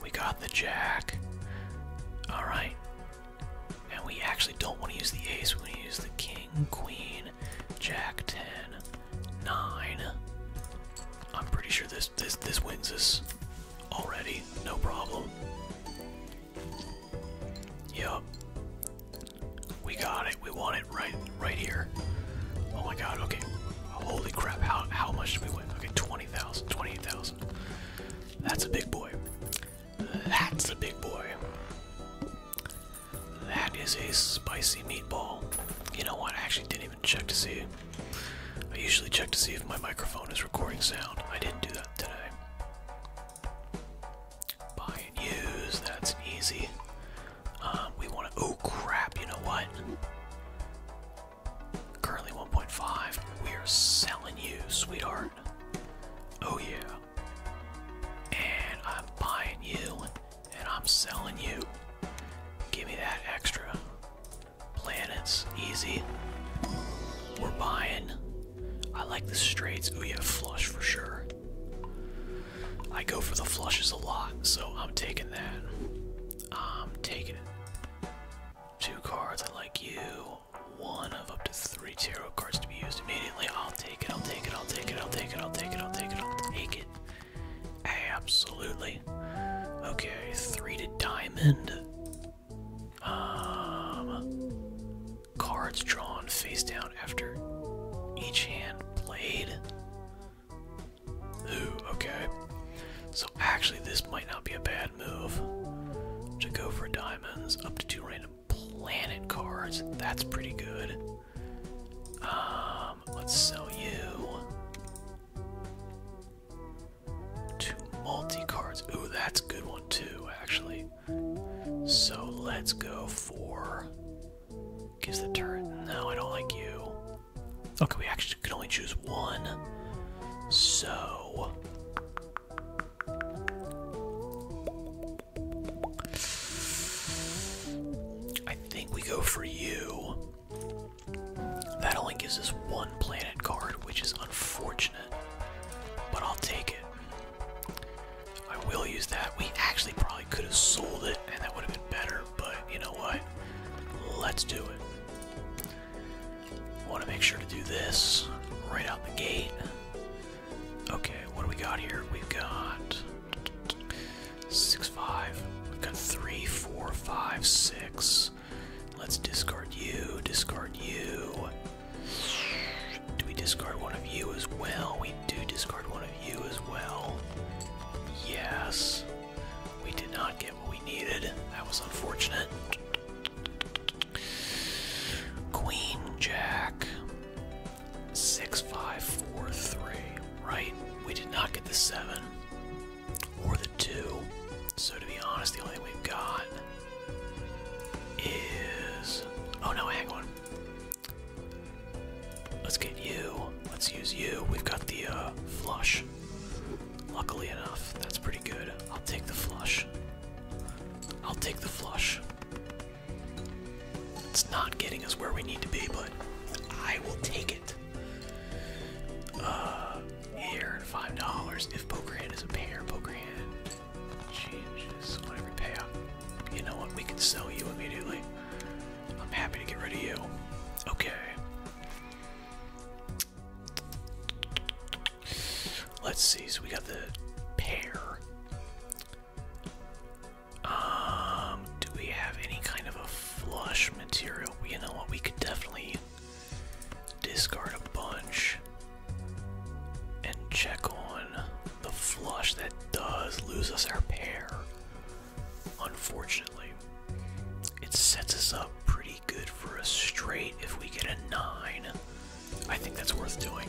A: We got the jack. Alright. And we actually don't want to use the ace, we want to use the king, queen, jack ten, I'm pretty sure this this this wins us already, no problem. Yep. We got it. We want it right right here. Oh my god, okay. Holy crap, how how much did we win? Okay, 20,000, 28,000. That's a big boy. That's a big boy. That is a spicy meatball. You know what? I actually didn't even check to see. I usually check to see if my microphone is recording sound. I didn't do that today. Buy and use. That's easy. Um, we want to. Oh crap! You know what? Currently 1.5. We are selling you, sweetheart. Oh yeah. And I'm buying you and I'm selling you. Give me that extra. Planets, easy. We're buying. I like the straights. Oh yeah, flush for sure. I go for the flushes a lot, so I'm taking that. I'm taking it. Two cards, I like you one of up to three tarot cards to be used immediately. I'll take it, I'll take it, I'll take it, I'll take it, I'll take it, I'll take it, I'll take it. Absolutely. Okay, three to diamond. Um cards drawn face down after each hand played. Ooh, okay. So actually this might not be a bad move. To go for diamonds, up to two random planet cards. That's pretty good. Um, let's sell you two multi cards. Ooh, that's a good one too, actually. So let's go for. Gives the turret. No, I don't like you. Okay, we actually can only choose one. So I think we go for you. That only gives us one planet card, which is unfortunate, but I'll take it. I will use that. We actually probably could have sold it, and that would have been better, but you know what? Let's do it. Want to make sure to do this right out the gate. Okay, what do we got here? We've got six, five. We've got three, four, five, six. Let's discard you. Discard you. Do we discard one of you as well? We do discard one of you as well. Yes. We did not get what we needed. That was unfortunate. Queen Jack. 6543. Right? We did not get the 7 or the 2. So, to be honest, the only we've got is. Oh no, hang on. Let's get you. Let's use you. We've got the uh, flush. Luckily enough, that's pretty good. I'll take the flush. I'll take the flush. It's not getting us where we need to be, but I will take it. Uh, here, five dollars. If poker hand is a pair, poker hand changes on every payout. You know what? We can sell you immediately. I'm happy to get rid of you. Okay. Let's see. So we got the pair. Um, do we have any kind of a flush material? You know what? We could definitely discard a bunch and check on the flush that does lose us our pair. Unfortunately, it sets us up pretty good for a straight if we get a nine. I think that's worth doing.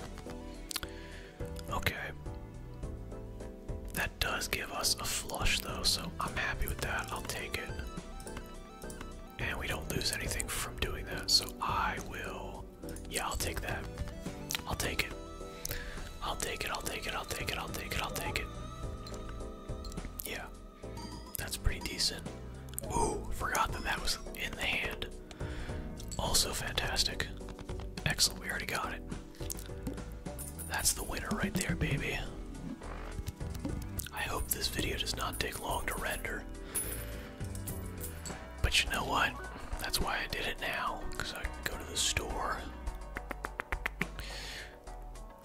A: Okay. That does give us a flush though, so I'm happy with that. I'll take it. And we don't lose anything from doing that, so I will. Yeah, I'll take that. I'll take it. I'll take it, I'll take it, I'll take it, I'll take it, Yeah, that's pretty decent. Ooh, forgot that that was in the hand. Also fantastic. Excellent, we already got it. That's the winner right there, baby. I hope this video does not take long to render. But you know what? That's why I did it now, because I can go to the store.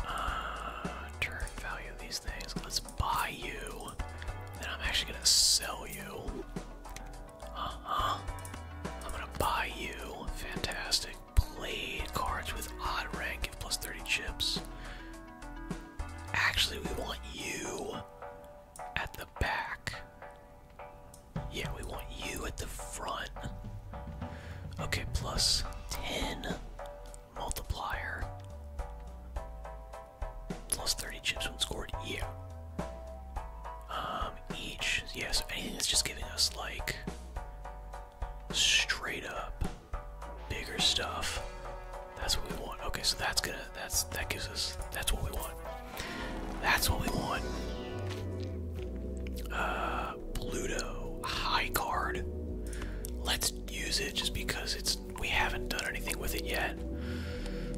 A: Uh, turn value these things. Let's buy you. Then I'm actually gonna sell you. Uh-huh. I'm gonna buy you. Fantastic. Blade cards with odd rank 30 chips. Actually, we want you at the back. Yeah, we want you at the front. Okay, plus 10 multiplier. 30 chips when scored, yeah. Um, each, yeah, so anything that's just giving us like straight up bigger stuff. That's what we want. Okay, so that's gonna that's that gives us that's what we want. That's what we want. Uh Pluto high card. Let's use it just because it's we haven't done anything with it yet.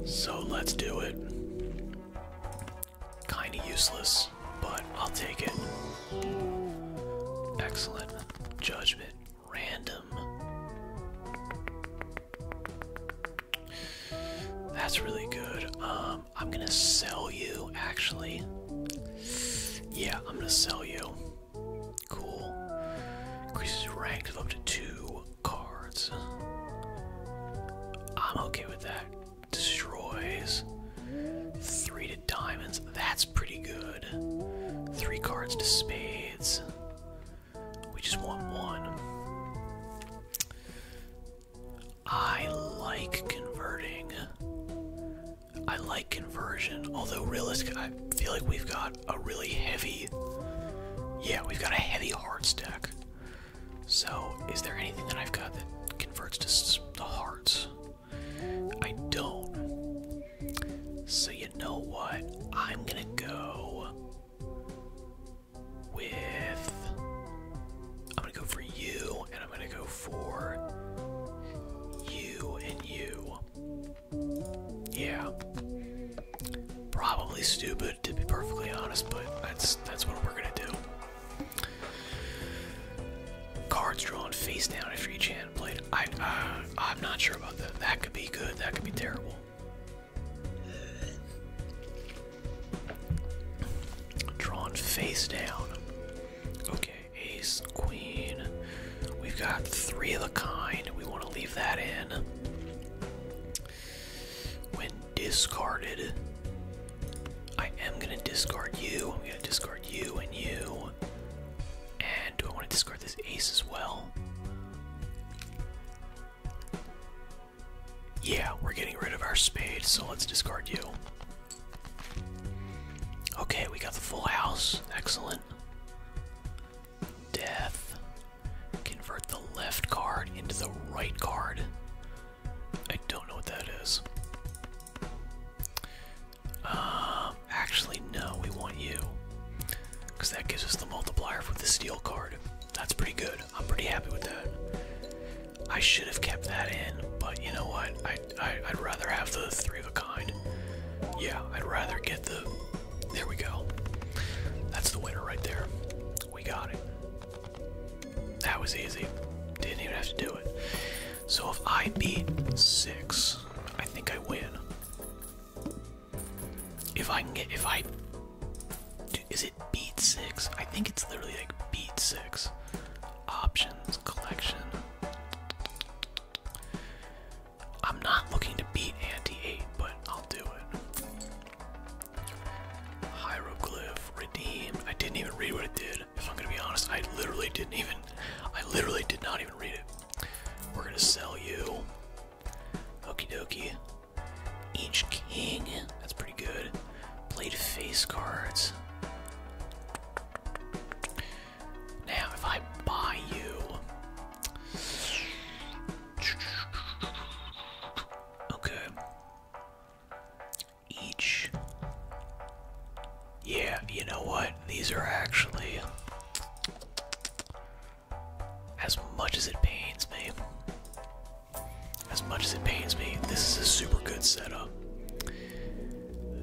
A: So let's do it. Kinda useless, but I'll take it. Excellent. Judgment. Random. That's really good. Um, I'm gonna sell you, actually. Yeah, I'm gonna sell you. Cool. Increases rank of up to two cards. I'm okay with that. Destroys. Three to diamonds. That's pretty good. Three cards to spades. We just want one. I like converting. I like conversion, although realistic, I feel like we've got a really heavy. Yeah, we've got a heavy heart stack. So, is there anything that I've got that converts to the hearts? I don't. So, you know what? I'm gonna go with. I'm gonna go for you, and I'm gonna go for you and you. Yeah. Probably stupid to be perfectly honest, but that's that's what we're gonna do. Cards drawn face down after each hand played. I uh, I'm not sure about that. That could be good. That could be terrible. Drawn face down. Okay, ace, queen, We've got three of the kind. We want to leave that in. When discarded, I am going to discard you. I'm going to discard you and you. And do I want to discard this ace as well? Yeah, we're getting rid of our spade, so let's discard you. Okay, we got the full house. Excellent. Death. Convert the left card into the right card. I don't know what that is. Um, actually, no, we want you. Because that gives us the multiplier for the steel card. That's pretty good. I'm pretty happy with that. I should have kept that in, but you know what? I, I'd rather have the three of a kind. Yeah, I'd rather get the there we go. That's the winner right there. We got it. That was easy. Didn't even have to do it. So if I beat six, I think I win. If I can get, if I, is it beat six? I think it's literally like beat six. Options, collection. I'm not looking to beat Anti 8, but I'll do it. Hieroglyph, redeem. I didn't even read what it did. If I'm gonna be honest, I literally didn't even. I literally did not even read it. We're gonna sell you. Okie dokie. Each king. That's pretty good. Played face cards. Now, if I buy you. Okay. Each. Yeah, you know what? These are actually. As much as it pains me. As much as it pains me, this is a super good setup.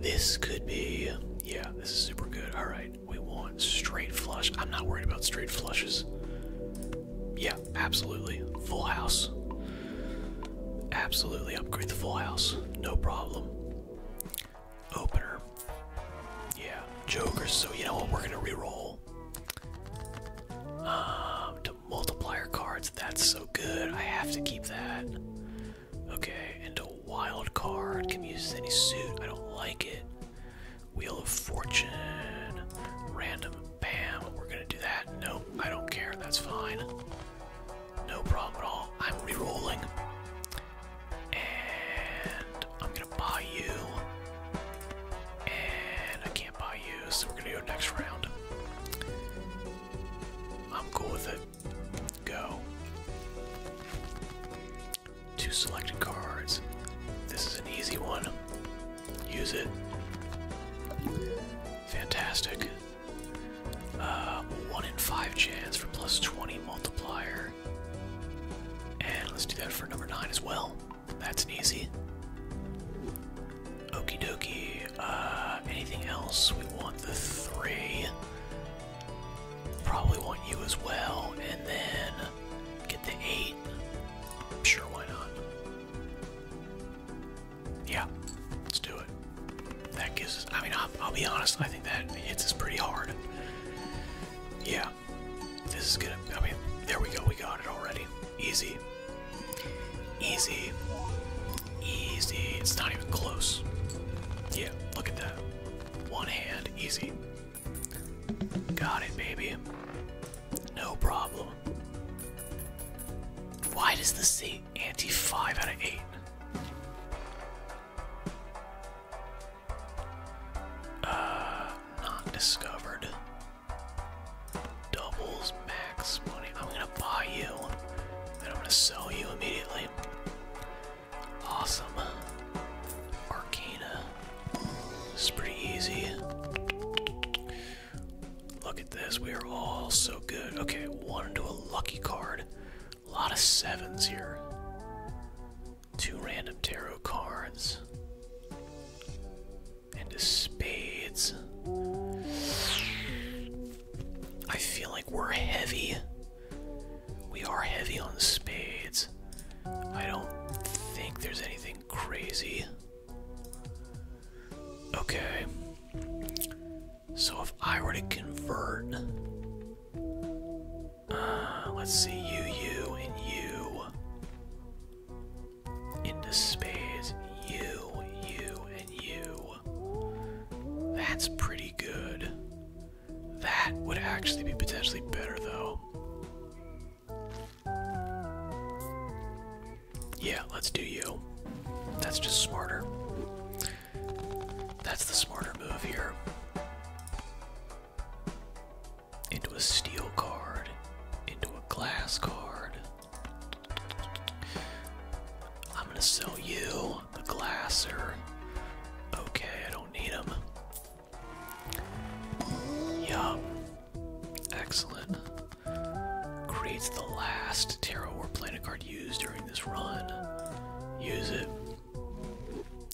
A: This could be. Yeah, this is super good. Alright we want straight flush. I'm not worried about straight flushes. Yeah, absolutely. Full house. Absolutely upgrade the full house. No problem. Opener. Yeah, jokers. So, you know what? We're going to reroll. Um, to multiplier cards. That's so good. I have to keep that. Okay, and a wild card. Can use any suit? I don't like it. Wheel of Fortune. Random. Bam. We're gonna do that. Nope. I don't care. That's fine. No problem at all. I'm re-rolling. And I'm gonna buy you. And I can't buy you, so we're gonna do next round. I'm cool with it. Go. Two selected cards. This is an easy one. Use it. Fantastic. Uh, one in five chance for plus 20 multiplier. And let's do that for number nine as well. That's an easy. Okey dokie. Uh, anything else? We want the three. Probably want you as well. And then Get the eight. Sure, why not? Yeah, let's do it. That gives I mean, I'll be honest, I think that hits us pretty hard. Yeah, this is gonna, I mean, there we go, we got it already. Easy. Easy. Easy. It's not even close. Yeah, look at that. One hand, easy. Got it, baby. No problem. Why does this say anti 5 out of 8? Uh, not discovered. Doubles max money. I'm gonna buy you, and I'm gonna sell you immediately. Awesome. Arcana. This is pretty easy. Look at this. We are all so good. Okay, one into a lucky card. A lot of sevens here. Two random tarot cards. And a spades. I feel like we're heavy. We are heavy on spades. I don't think there's anything crazy. Okay. So if I were to convert. Uh, let's see, you, you, and you. Into space. You, you, and you. That's pretty good. That would actually be potentially better, though. Yeah, let's do you. That's just smarter. That's the smarter move here. Into a steel card, into a glass card. I'm gonna sell you, the glasser. Okay, I don't need them. Yum. Excellent. Creates the last tarot or planet card used during this run. Use it.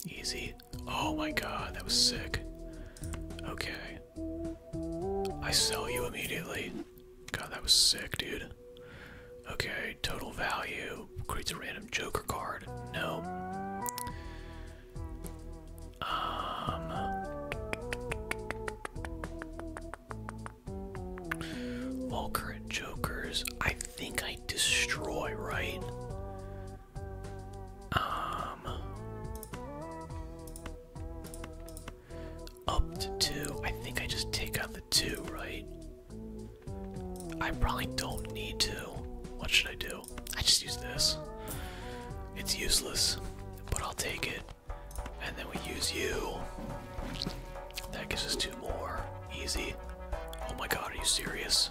A: Easy. Oh my god, that was sick. Okay. I sell you immediately. God, that was sick, dude. Okay, total value. Creates a random Joker card. No. Um, Jokers. I think I destroy, right? Um, up to two. I think I just take out the two, right? I probably don't need to. What should I do? I just use this. It's useless, but I'll take it. And then we use you. That gives us two more. Easy. Oh my god, are you serious?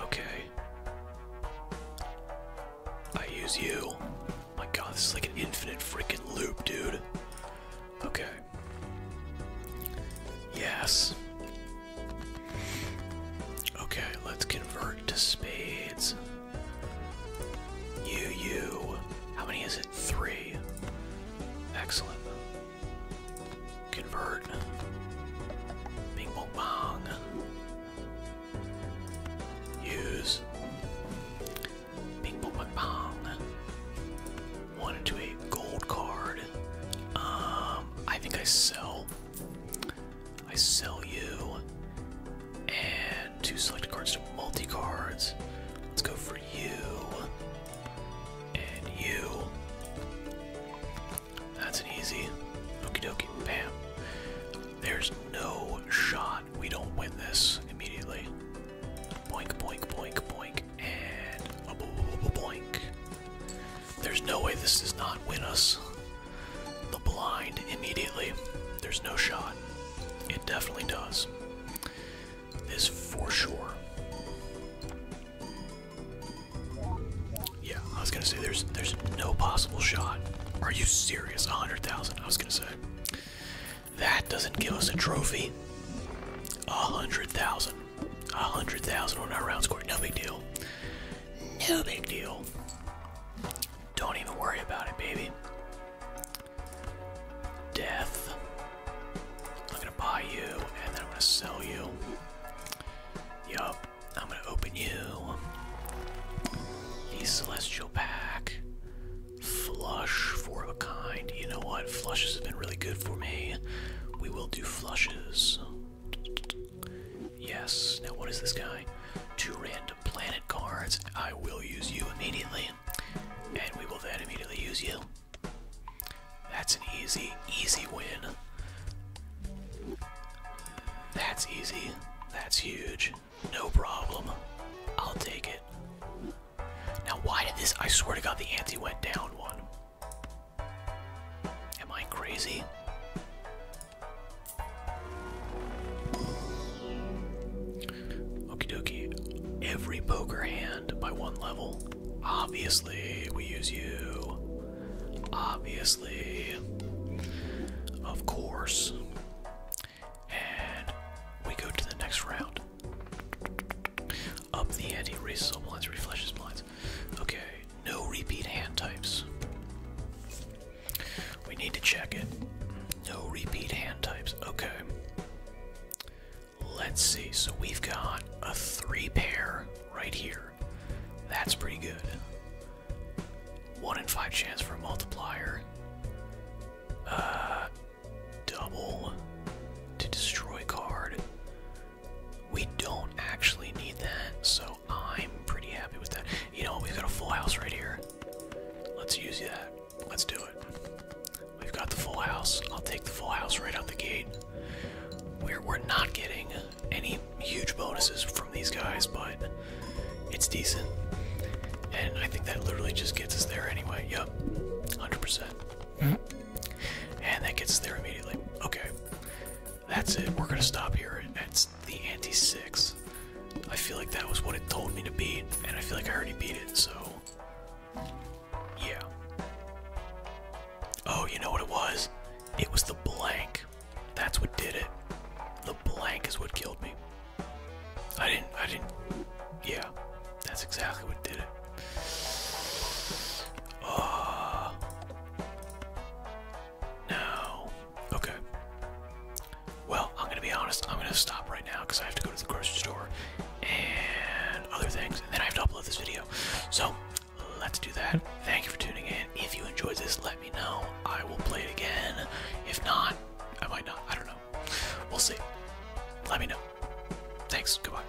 A: Okay. I use you. My god, this is like an infinite freaking loop, dude. Okay. Yes. Okay, let's convert to spades. You, you. How many is it? Three. Excellent. Convert. Bing bong bong. Use. Bing bong bong one into a gold card. Um, I think I sell. I sell you. And two selected cards to multi cards. Let's go for you. And you. That's an easy. Okie dokie. Bam. There's no shot. We don't win this immediately. Boink, boink, boink, boink and boink. There's no way this does not win us the blind immediately. There's no shot. It definitely does. Is for sure. Yeah, I was gonna say there's there's no possible shot. Are you serious? A hundred thousand. I was gonna say that doesn't give us a trophy. A hundred thousand. A hundred thousand on our round score, no big deal. No big deal. Don't even worry about it, baby. Death. I'm gonna buy you, and then I'm gonna sell you. Yup, I'm gonna open you. The Celestial Pack. Flush, four of a kind. You know what? Flushes have been really good for me. We will do flushes. Yes. Now, what is this guy? Two random planet cards. I will use you immediately, and we will then immediately use you. That's an easy, easy win. That's easy. That's huge. No problem. I'll take it. Now, why did this? I swear to God, the anti went down one. Am I crazy? Okie dokie. Every poker hand by one level. Obviously, we use you. Obviously. Of course. And we go to the next round. Up the ante, raises all blinds, reflashes blinds. Okay, no repeat hand types. We need to check it. No repeat hand types. Okay. Let's see. So we've got a three pair right here. That's pretty good. One in five chance for a multiplier. Uh, double to destroy card. We don't actually need that, so I'm pretty happy with that. You know, we've got a full house right here. Let's use that. Let's do it. We've got the full house. I'll take the full house right out the gate. We're we're not getting any huge bonuses from these guys, but it's decent. And I think that literally just gets us there anyway. Yep. 100%. And that gets there immediately. Okay. That's it. We're gonna stop here. at the anti-six. I feel like that was what it told me to beat, and I feel like I already beat it, so yeah. Oh, you know what it was? It was the blank. That's what did it. The blank is what killed me. I didn't I didn't yeah, that's exactly what did it. Ah. No. Okay. Well, I'm gonna be honest. I'm gonna stop right now because I have to go to the grocery store and other things, and then I have to upload this video. So let's do that. Thank you for tuning in. If you enjoyed this, let me know. I will play it again. If not, I might not. I don't know. We'll see. Let me know.
B: Thanks. Goodbye.